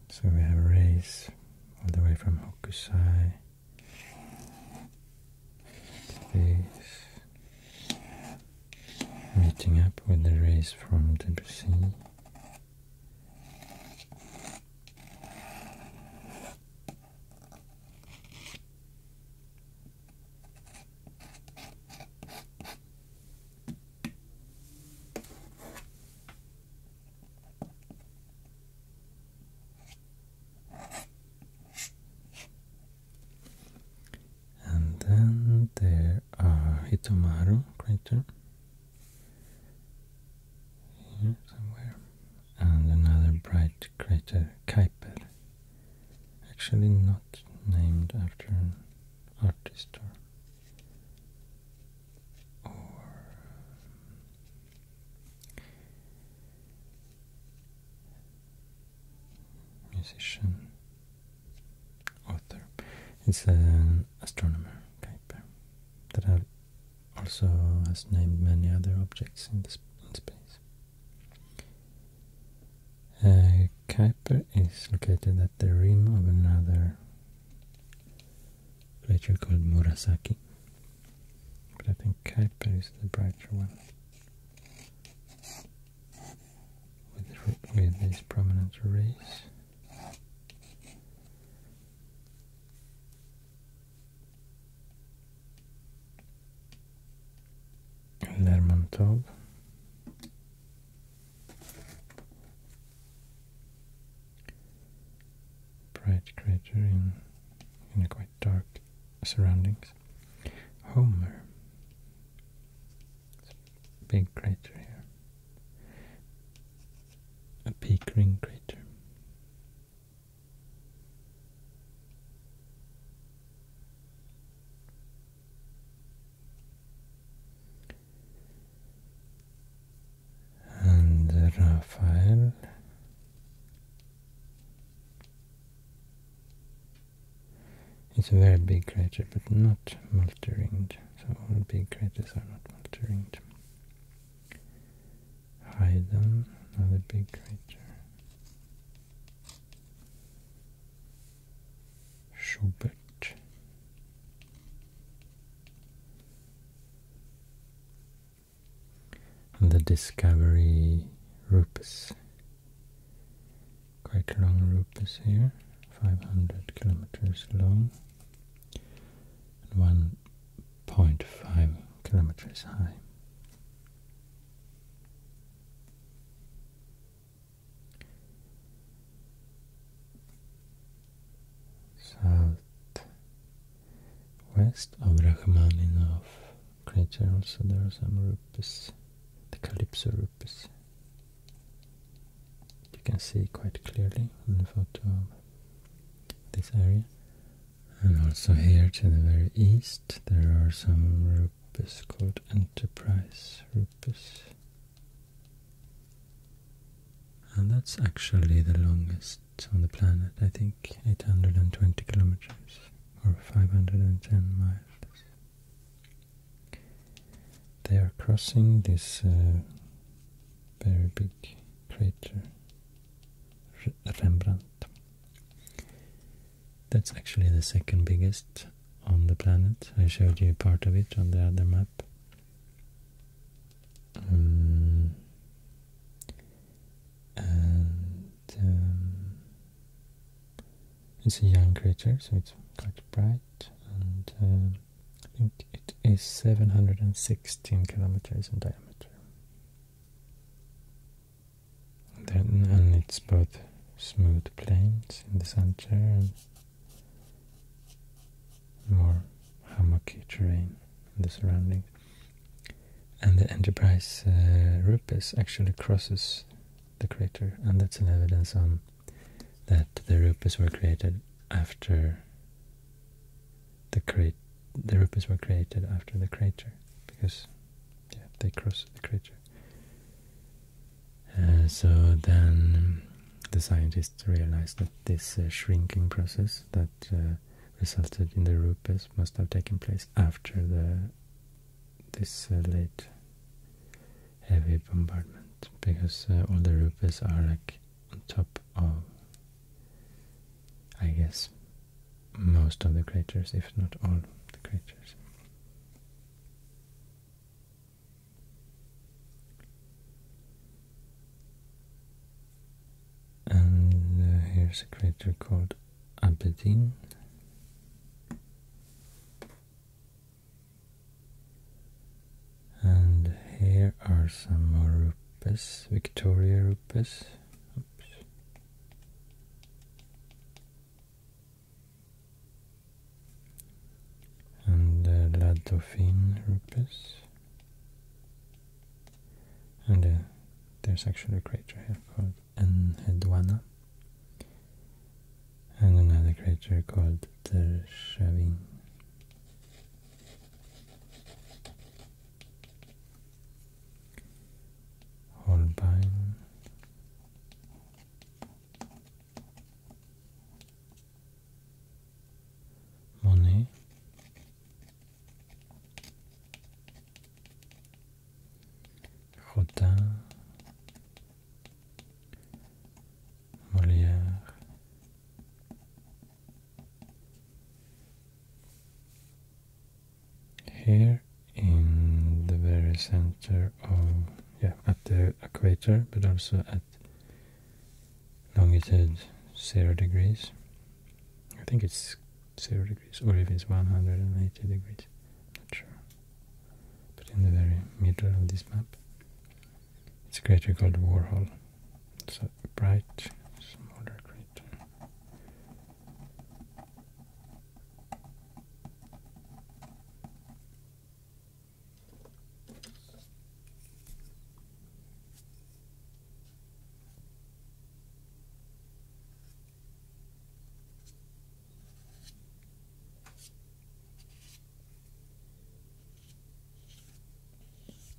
So we have rays all the way from Hokusai Space. Meeting up with the rays from the Debussy. And then there are Hitomaru crater somewhere, and another bright crater, Kuiper, actually not named after an artist or um, musician, author. It's an astronomer, Kuiper, that also has named many other objects in, this, space. Uh, Kuiper is located at the rim of another crater called Murasaki, but I think Kuiper is the brighter one. With, with these prominent rays. Lermontov. Bright crater in Unicoi dark surroundings. Homer. Big crater here. A peak ring crater. And Raphael it's a very big crater, but not multi-ringed. So all big craters are not multi-ringed. Haydn, another big crater. Schubert and the discovery rupes. Quite long rupes here, 500 kilometers long and 1.5 kilometers high. South west of Rachmaninov creature also there are some rupees the calypso rupees you can see quite clearly in the photo of this area and also here to the very east there are some rupees called enterprise rupees and that's actually the longest on the planet I think 820 kilometers or 510 miles. They are crossing this uh, very big crater, Rembrandt. That's actually the second biggest on the planet. I showed you part of it on the other map. Um, and um, it's a young crater, so it's quite bright, and um, I think it is 716 kilometers in diameter. Then, and it's both smooth plains in the center and more hammocky terrain in the surroundings and the Enterprise uh, Rupes actually crosses the crater, and that's an evidence on that the Rupes were created after the crate. The Rupes were created after the crater because they cross the crater. Uh, so then the scientists realized that this uh, shrinking process that resulted in the rupes must have taken place after the this uh, late heavy bombardment because uh, all the rupees are like on top of, I guess, most of the craters, if not all the craters. And uh, here's a crater called Aberdeen. And here are some more rupees, Victoria rupees. And uh, La Dauphine rupees. And there's actually a crater here called and Hedwana and another creature called Tershavin. Holbein Monet Rodin, Molière, here in the very center of, yeah, at the equator, but also at longitude zero degrees. I think it's 0 degrees or if it's 180 degrees, not sure. But in the very middle of this map, it's a crater called Warhol. It's a bright, smaller crater.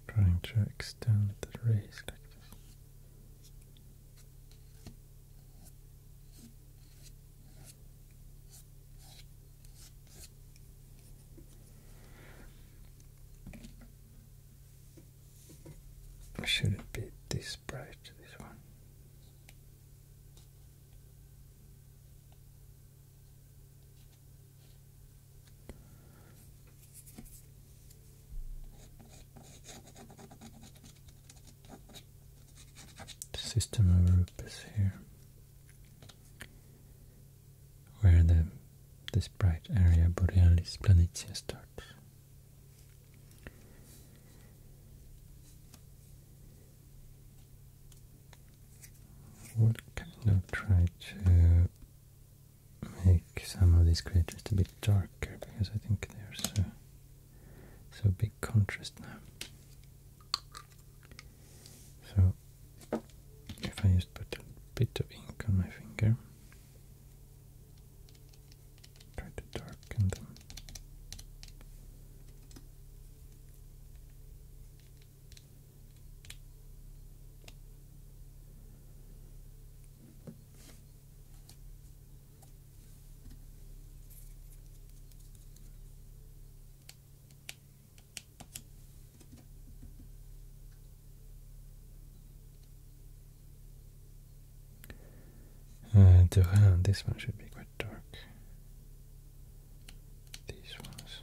Trying to extend the race like this. Should it be this bright, this one? The system of Rupes here, where the this bright area Borealis Planitia starts i will try to make some of these craters a bit darker because I think there's so, so big contrast now. So if I just put a bit of ink on my finger. Try to darken them. Duran, uh, this one should be quite dark. These ones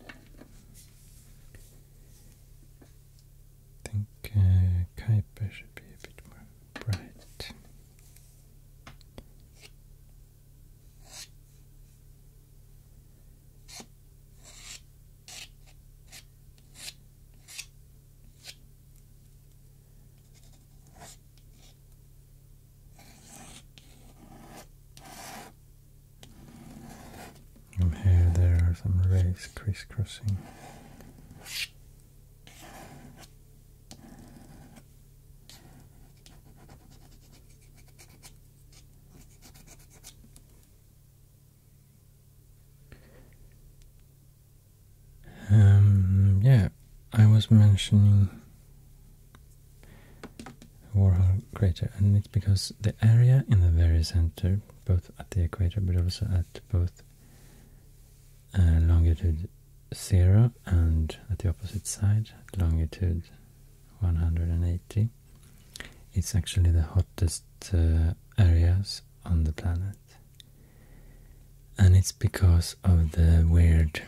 I think uh, Kuiper should be a bit more bright. And here there are some rays crisscrossing. Um, yeah, I was mentioning Warhol crater, and it's because the area in the very center, both at the equator but also at both uh, longitude zero and at the opposite side, longitude 180, it's actually the hottest uh, areas on the planet. And it's because of the weird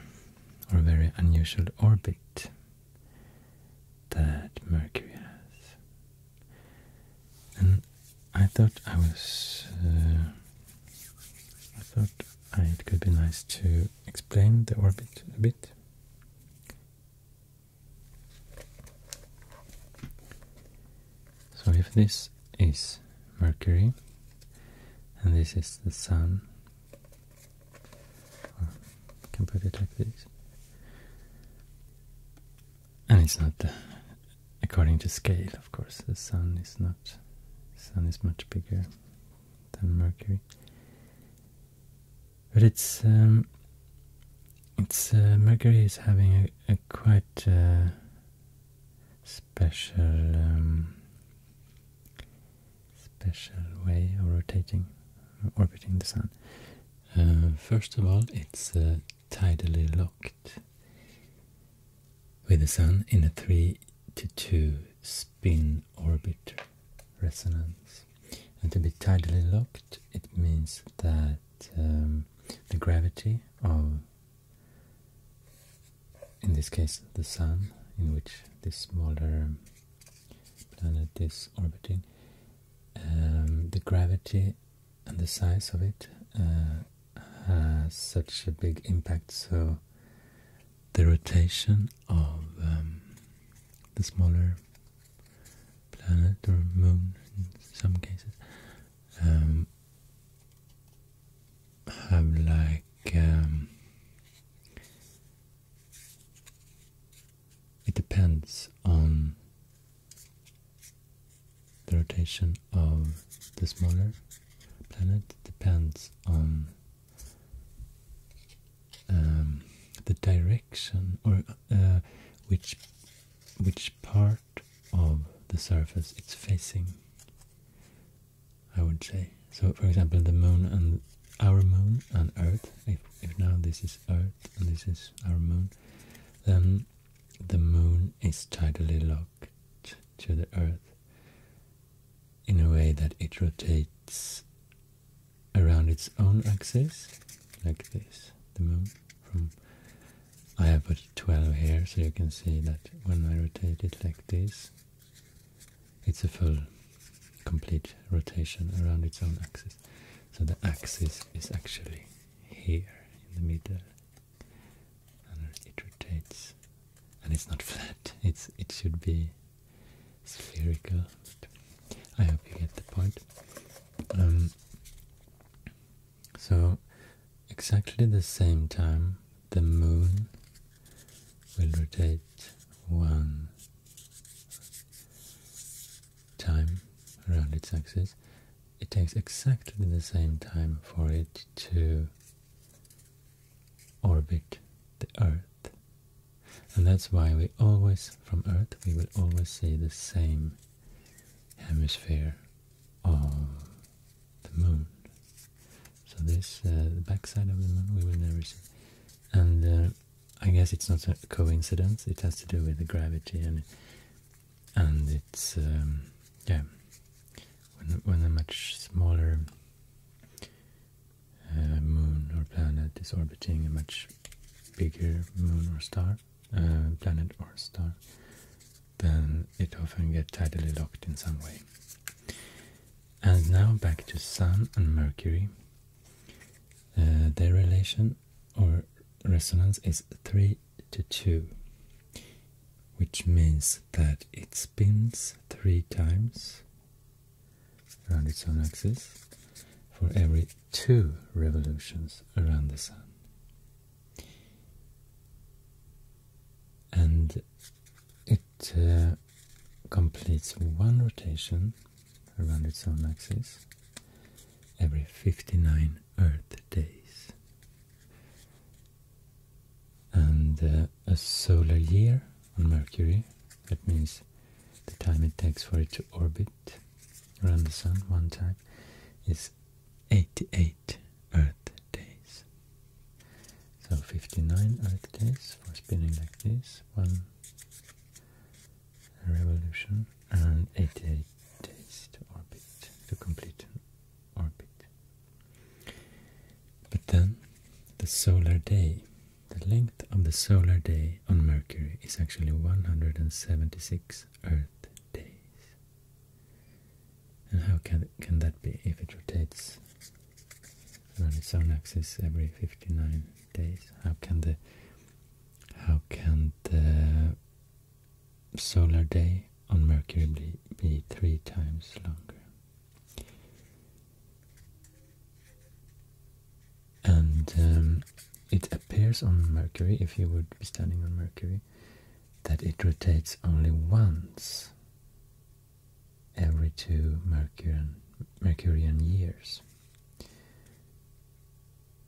or very unusual orbit that Mercury has. And I thought I was. Uh, I thought it could be nice to explain the orbit a bit. So if this is Mercury and this is the Sun, well, can put it like this. And it's not uh, according to scale, of course. The sun is not. Sun is much bigger than Mercury, but it's um, it's uh, Mercury is having a, quite uh, special um, special way of rotating, orbiting the sun. Uh, first of all, it's uh, tidally locked with the Sun in a 3 to 2 spin orbit resonance. And to be tidally locked, it means that um, the gravity of, in this case, the Sun, in which this smaller planet is orbiting, um, the gravity and the size of it uh, has such a big impact. So the rotation of um, the smaller planet or moon, in some cases, um, have like it depends on the rotation of the smaller planet depends on um, the direction or uh, which which part of the surface it's facing I would say so for example the moon and our moon and earth if now this is Earth and this is our moon, then the moon is tidally locked to the Earth in a way that it rotates around its own axis, like this, the moon. From I have put 12 here, so you can see that when I rotate it like this, it's a full, complete rotation around its own axis. So the axis is actually here in the middle, and it rotates. And it's not flat. It's it should be spherical. I hope you get the point. Um, so exactly the same time, the moon will rotate one time around its axis, it takes exactly the same time for it to orbit the Earth. And that's why we always, from Earth, we will always see the same hemisphere of the Moon. So this, uh, the backside of the Moon, we will never see. And uh, I guess it's not a coincidence. It has to do with the gravity and and it's um, yeah. When a much smaller uh, moon or planet is orbiting a much bigger moon or star, uh, planet or star, then it often gets tidally locked in some way. And now back to Sun and Mercury. Uh, their relation or resonance is 3 to 2, which means that it spins 3 times around its own axis for every 2 revolutions around the Sun. And it uh, completes one rotation around its own axis every 59 Earth days. And uh, a solar year on Mercury, that means the time it takes for it to orbit around the Sun one time, is 88 Earth days. So 59 Earth days for spinning like this, one, revolution and 88 days to orbit, to complete an orbit. But then the solar day, the length of the solar day on Mercury is actually 176 Earth days. And how can, can that be if it rotates around its own axis every 59 days? How can the how can the solar day on Mercury be, three times longer? And um, it appears on Mercury, if you would be standing on Mercury, that it rotates only once every two Mercurian, Mercurian years.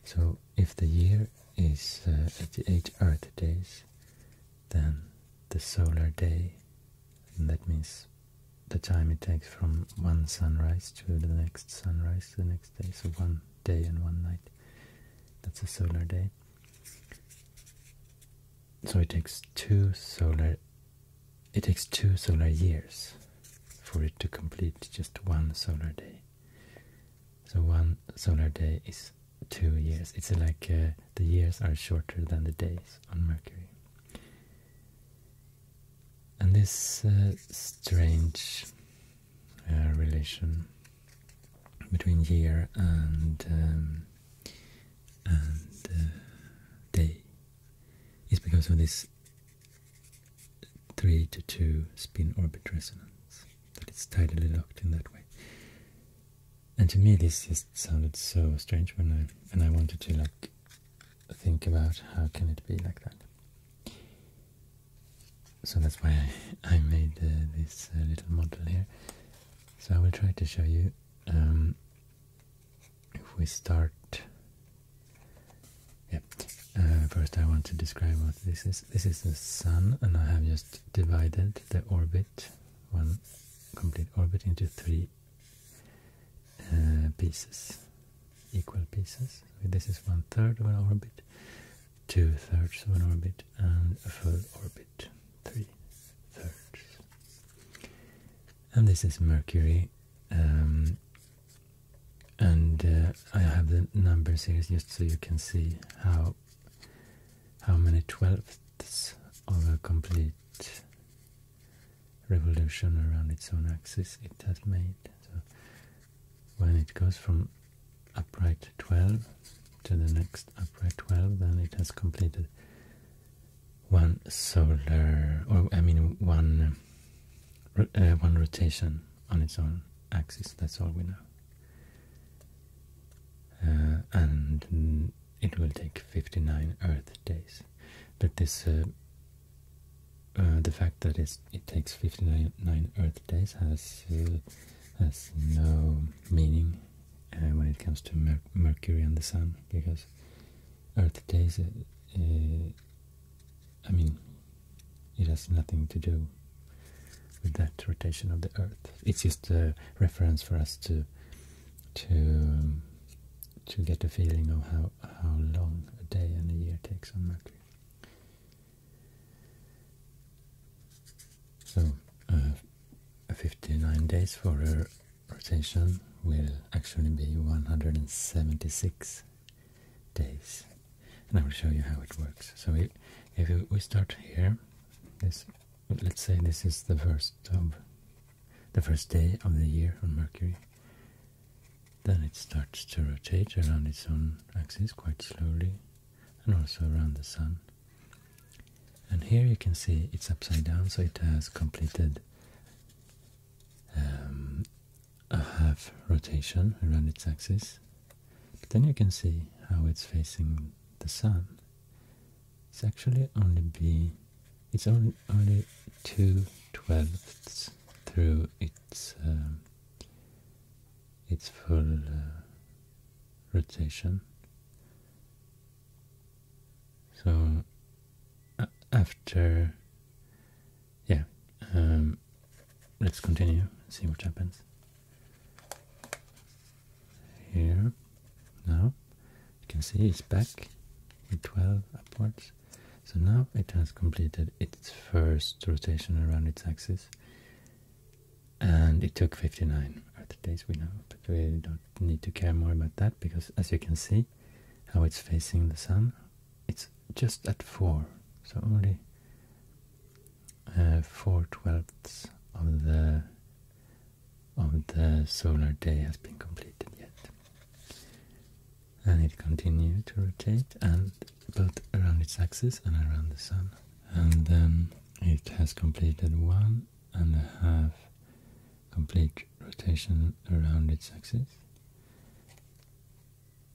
So if the year is uh, Earth days, then the solar day, that means the time it takes from one sunrise to the next sunrise the next day, so one day and one night, that's a solar day. So it takes two solar it takes two solar years for it to complete just one solar day. So one solar day is two years. It's like uh, the years are shorter than the days on Mercury. And this uh, strange uh, relation between year and um, and day is because of this 3 to 2 spin orbit resonance. That it's tidally locked in that way. And to me this just sounded so strange when I and I wanted to like think about how can it be like that. So that's why I, made uh, this uh, little model here. So I will try to show you um, if we start yeah. Uh, first, I want to describe what this is. This is the sun, and I have just divided the orbit, one complete orbit, into three uh, pieces, equal pieces. this is one third of an orbit, two thirds of an orbit, and a full orbit, three thirds. And this is Mercury. Um, and uh, I have the numbers here just so you can see how how many twelfths of a complete revolution around its own axis it has made. So when it goes from upright 12 to the next upright 12, then it has completed one solar, or I mean one, uh, one rotation on its own axis, that's all we know. Uh, and it will take 59 Earth days. But this, uh, uh, the fact that it takes 59 Earth days has has no meaning when it comes to Mercury and the Sun, because Earth days I mean, it has nothing to do with that rotation of the Earth. It's just a reference for us to to to get a feeling of how how long a day and a year takes on Mercury. So, uh, 59 days for a rotation will actually be 176 days. And I will show you how it works. So if we start here, let's say this is the first of the first day of the year on Mercury. Then it starts to rotate around its own axis quite slowly and also around the Sun. And here you can see it's upside down, so it has completed um, a half rotation around its axis. then you can see how it's facing the sun. It's actually only be it's only only two twelfths through its um, its full uh, rotation. So after yeah, um, let's continue, see what happens. Here, now, you can see it's back with 12 upwards. So now it has completed its first rotation around its axis. And it took 59 Earth days, we know, but we don't need to care more about that because as you can see, how it's facing the sun it's just at 4, so only uh, 4 twelfths of the of the solar day has been completed yet. And it continues to rotate and both around its axis and around the sun. And then it has completed one and a half complete rotation around its axis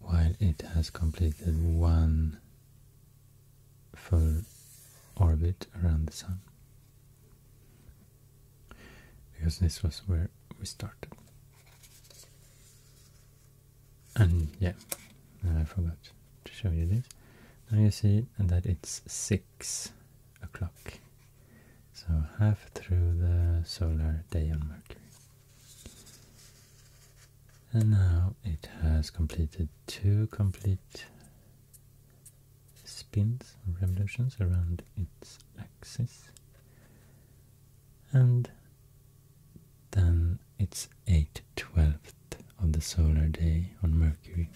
while it has completed one full orbit around the Sun. Because this was where we started. And yeah, I forgot to show you this. Now you see that it's 6 o'clock. So half through the solar day on Mercury. And now it has completed two complete spins or revolutions around its axis. And then it's 8 twelfth of the solar day on Mercury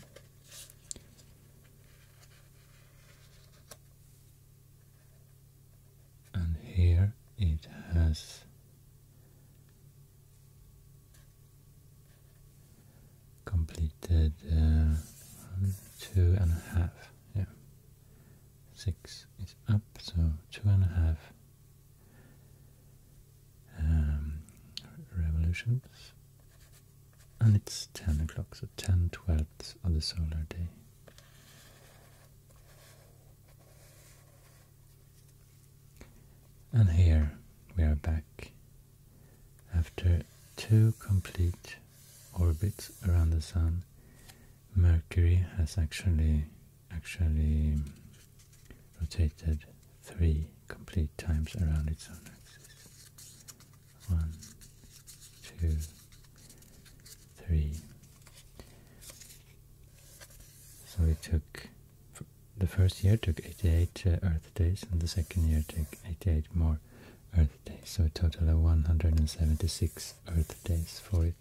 and here it has completed uh, two and a half. Yeah, six is up, so two and a half um, revolutions, and it's ten o'clock, so ten twelfths of the solar day. And here we are back after two complete orbits around the Sun. Mercury has actually actually rotated three complete times around its own axis. One, two, three. So it took the first year took 88 uh, Earth days, and the second year took 88 more Earth days. So a total of uh, 176 Earth days for it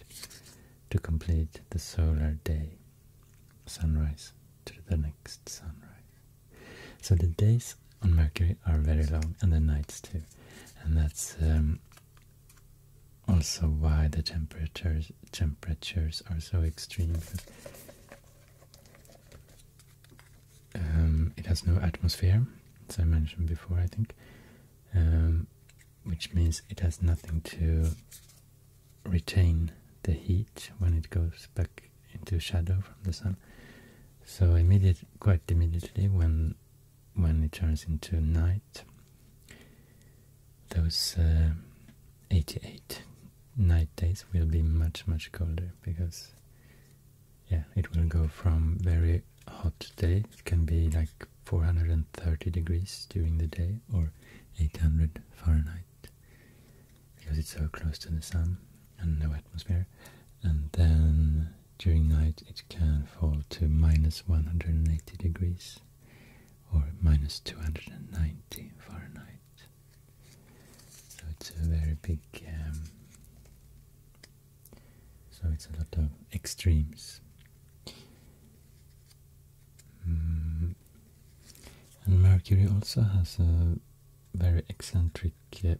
to complete the solar day, sunrise to the next sunrise. So the days on Mercury are very long, and the nights too, and that's um, also why the temperatures temperatures are so extreme. Um, it has no atmosphere, as I mentioned before, I think, um, which means it has nothing to retain the heat when it goes back into shadow from the sun. So immediate, quite immediately, when when it turns into night, those uh, 88 night days will be much much colder because yeah it will go from very hot day it can be like 430 degrees during the day or 800 Fahrenheit because it's so close to the sun and no atmosphere and then during night it can fall to minus 180 degrees or minus 290 Fahrenheit. So it's a very big, um, so it's a lot of extremes. Mm. And Mercury also has a very eccentric uh,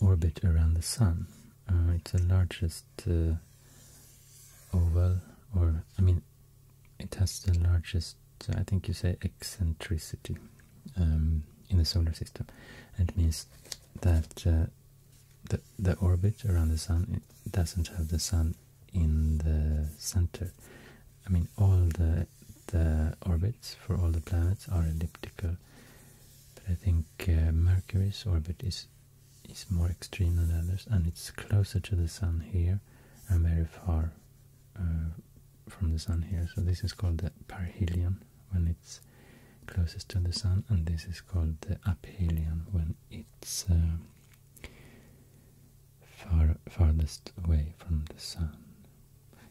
orbit around the Sun. Uh, it's the largest uh, oval, or I mean, it has the largest, I think you say, eccentricity um, in the solar system. And it means that uh, the the orbit around the sun doesn't have the sun in the center. I mean, all the the orbits for all the planets are elliptical, but I think uh, Mercury's orbit is is more extreme than others and it's closer to the sun here and very far uh, from the sun here so this is called the perihelion when it's closest to the sun and this is called the aphelion when it's uh, far farthest away from the sun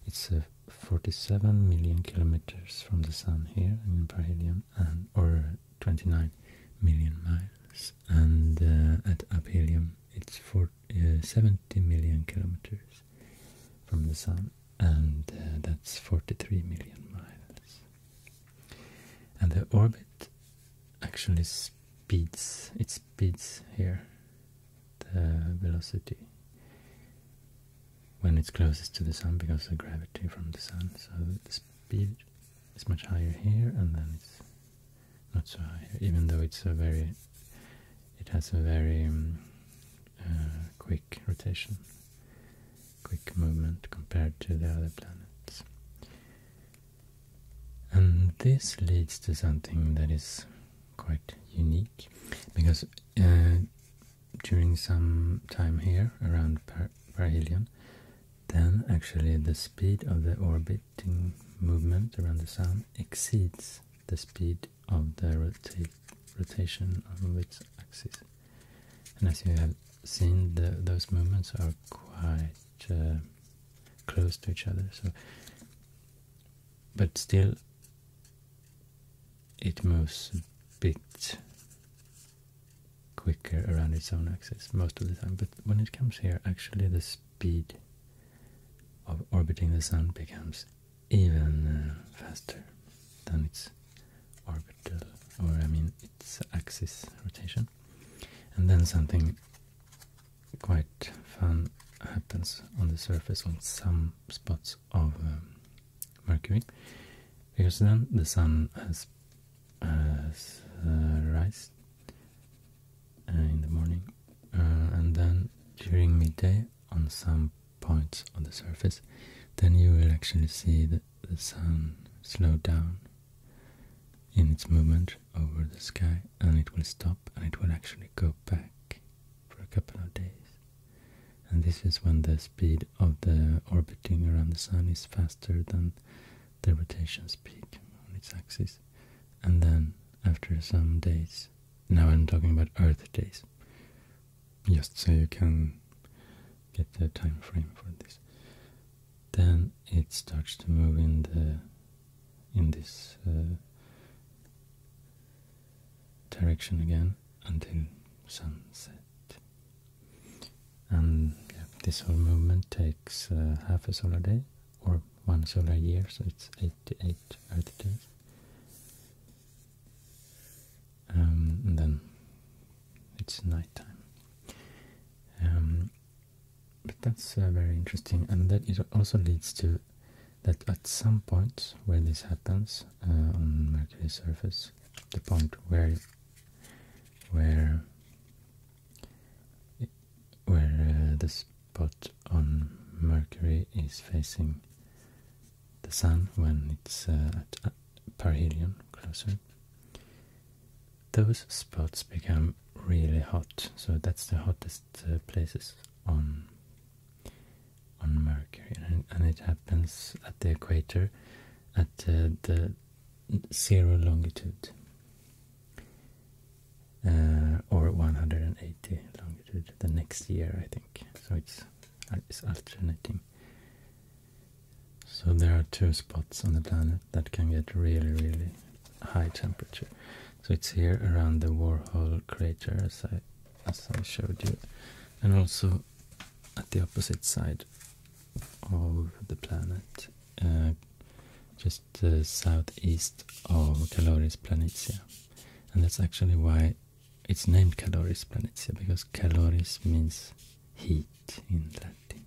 it's uh, 47 million kilometers from the sun here in perihelion, and or 29 million miles and uh, at aphelion it's for, uh, 70 million kilometers from the sun and uh, that's 43 million miles and the orbit actually speeds it speeds here the velocity when it's closest to the sun because of gravity from the sun so the speed it's much higher here and then it's not so high even though it's a very it has a very um, uh, quick rotation quick movement compared to the other planets and this leads to something that is quite unique because uh, during some time here around per perihelion then actually the speed of the orbiting movement around the sun exceeds the speed of the rota rotation of its axis. And as you have seen, those movements are quite uh, close to each other. So, but still, it moves a bit quicker around its own axis most of the time. But when it comes here, actually the speed of orbiting the sun becomes even uh, faster than its orbital, or I mean its axis rotation. And then something quite fun happens on the surface on some spots of um, Mercury, because then the sun has as uh, uh, in the morning, uh, and then during midday on some points on the surface, then you will actually see that the sun slow down in its movement over the sky, and it will stop, and it will actually go back for a couple of days. And this is when the speed of the orbiting around the sun is faster than the rotation's peak on its axis, and then after some days, now I'm talking about Earth days, just so you can get the time frame for this. Then it starts to move in the in this uh, direction again until sunset and this whole movement takes uh, half a solar day or one solar year, so it's 88 Earth days. Um, and then it's nighttime. Um, but that's uh, very interesting, and that it also leads to that at some point where this happens uh, on Mercury's surface, the point where where where uh, the spot on Mercury is facing the Sun when it's uh, at perihelion closer. Those spots become really hot, so that's the hottest uh, places on on Mercury, and, it happens at the equator at the zero longitude. Uh, or 180 longitude the next year, I think. So it's uh, it's alternating. So there are two spots on the planet that can get really, really high temperature. So it's here around the Warhol crater, as I as I showed you, and also at the opposite side of the planet, uh, just the uh, southeast of Caloris planitia, and that's actually why it's named Caloris planitia because Caloris means heat in Latin.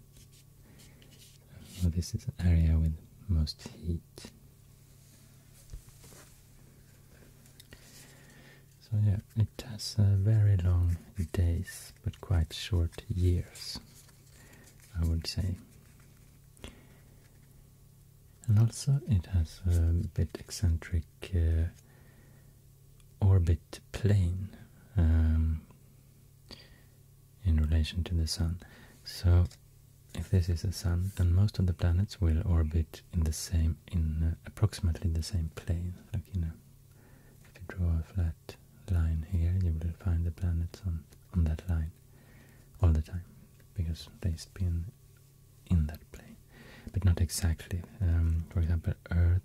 So this is an area with most heat. So yeah, it has uh, very long days but quite short years. I would say. And also it has a bit eccentric uh, orbit plane um, in relation to the Sun. So if this is the Sun, then most of the planets will orbit in the same, in uh, approximately the same plane, like you know, if you draw a flat line here, you will find the planets on, on that line all the time because they spin in that plane, but not exactly. Um, for example, Earth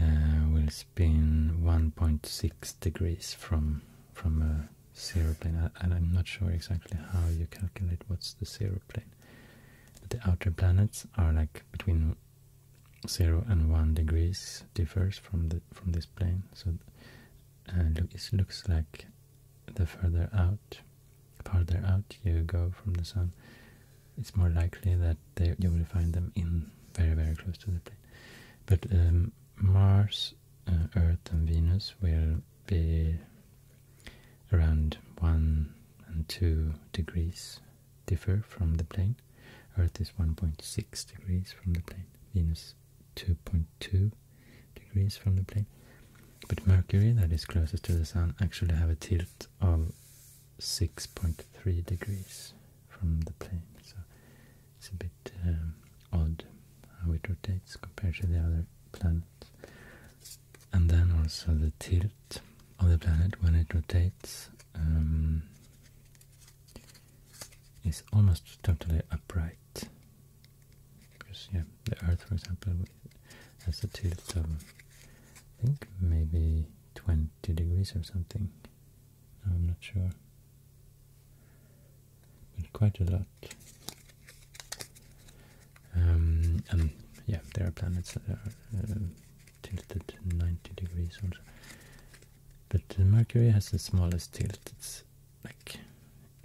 uh, will spin 1.6 degrees from from a zero plane, and I'm not sure exactly how you calculate what's the zero plane. But the outer planets are like between 0 and 1 degrees differs from the from this plane so uh, it looks like the further out farther out you go from the sun it's more likely that you will find them in very very close to the plane but um, Mars uh, Earth and Venus will be around 1 and 2 degrees differ from the plane Earth is 1.6 degrees from the plane. Venus 2.2 degrees from the plane. But Mercury, that is closest to the Sun, actually have a tilt of 6.3 degrees from the plane. So it's a bit um, odd how it rotates compared to the other planets. And then also the tilt of the planet when it rotates um, is almost totally upright. Because yeah, the Earth, for example, has a tilt of I think maybe 20 degrees or something. I'm not sure, but quite a lot. Um, and yeah, there are planets that are uh, tilted 90 degrees also. But Mercury has the smallest tilt, it's like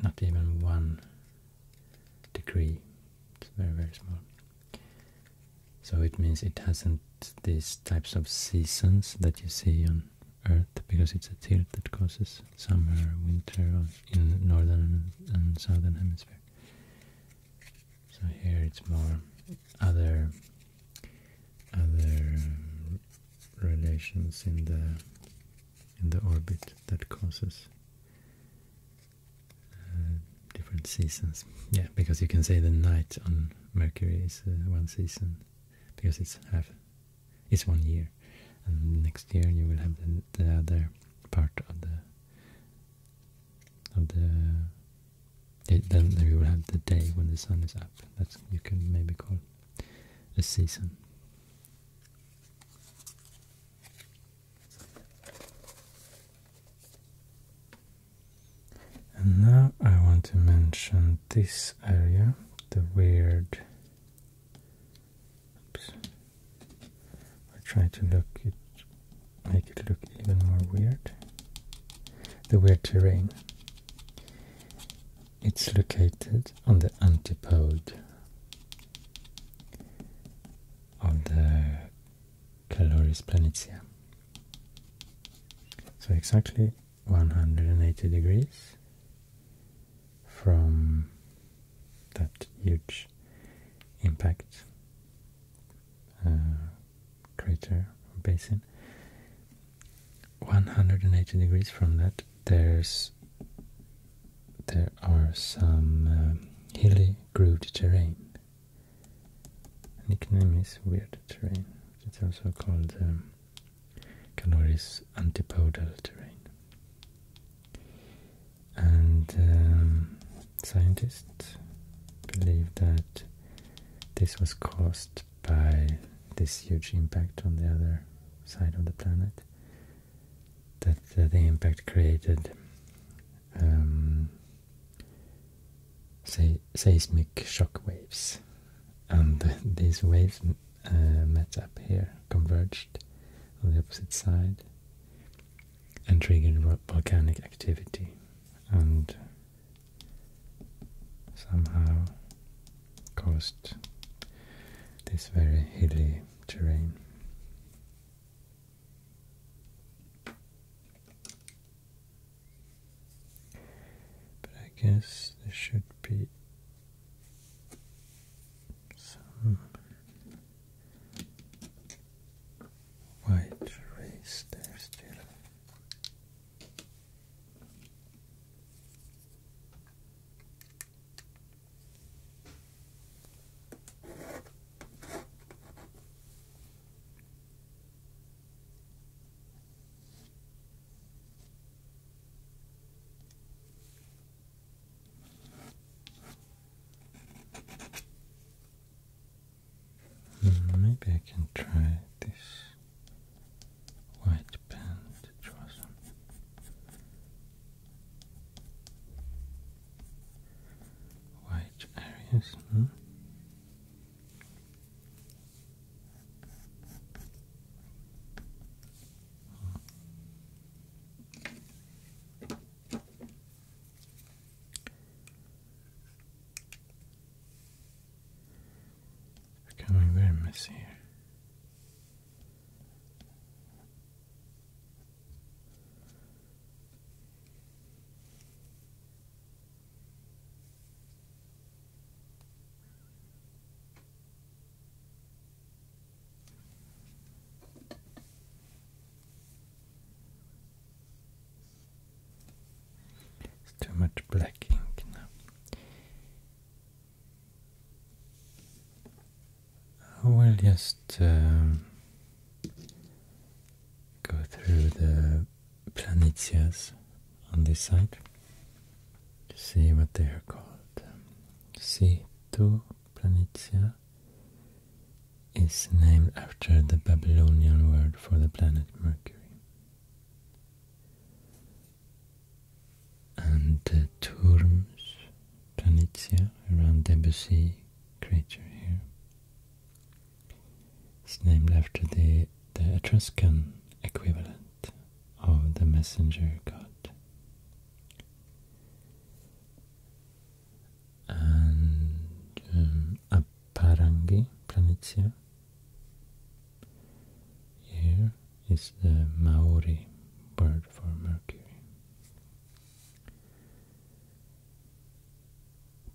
not even one degree, it's very very small. So it means it hasn't these types of seasons that you see on Earth, because it's a tilt that causes summer, winter in northern and southern hemisphere. So here it's more other other relations in the in the orbit that causes uh, different seasons. Yeah, because you can say the night on Mercury is uh, one season because it's half, it's one year, and next year you will have the, other part of the of the. then you will have the day when the sun is up. That's you can maybe call a season. And now I want to mention this area, the weird. I try to look make it look even more weird. The weird terrain. It's located on the antipode of the Caloris planitia. So exactly 180 degrees from that huge impact uh, crater basin 180 degrees from that there's there are some um, hilly grooved terrain. Nickname is weird terrain. It's also called um, antipodal terrain. And um, scientists believe that this was caused by this huge impact on the other side of the planet. That the impact created, um, say, seismic shock waves, and these waves uh, met up here, converged on the opposite side, and triggered volcanic activity, and somehow caused this very hilly terrain. But I guess there should be some white race there still. Hmm, maybe I can try this white pen to draw some. White areas. Hmm? becoming very messy here. It's too much black ink now we will just um, go through the planetias on this side see what they are called. C2 Planitia is named after the Babylonian word for the planet Mercury and uh, Turms, Planitia, around Debussy creature here. It's named after the, the Etruscan equivalent of the messenger god. And um, Planitia, here is the Maori word for Mercury.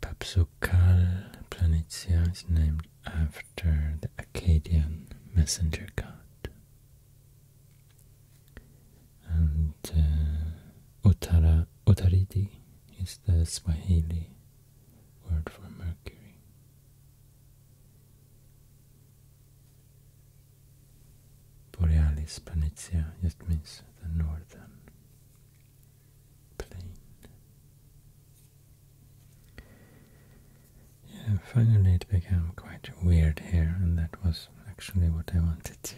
Papsukal Planitia is named after the Akkadian messenger god. And uh, Uttara, is the Swahili word for Mercury. Borealis Planitia just means the northern plain. Yeah, finally it became quite weird here, and that was actually what I wanted to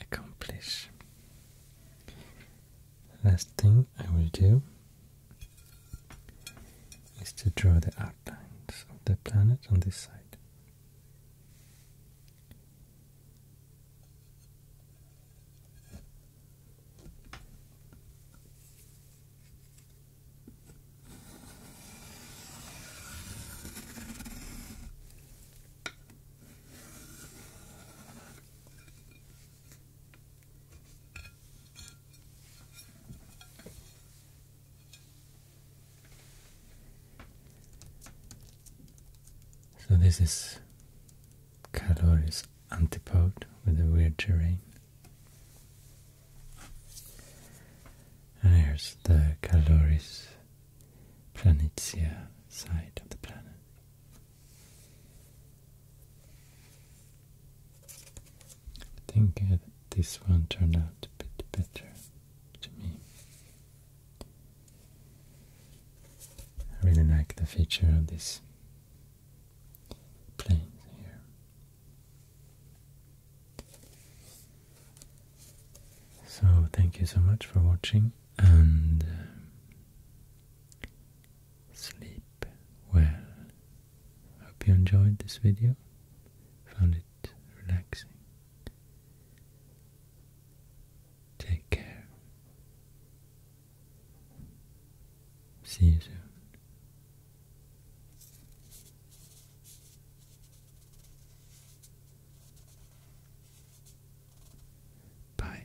accomplish. Last thing I will do is to draw the outlines of the planet on this side. So this is Calori's antipode with a weird terrain. There's the Caloris Planitia side of the planet. I think uh, this one turned out a bit better to me. I really like the feature of this plane here. So thank you so much for watching and um, sleep well. Hope you enjoyed this video, found it relaxing. Take care. See you soon. Bye.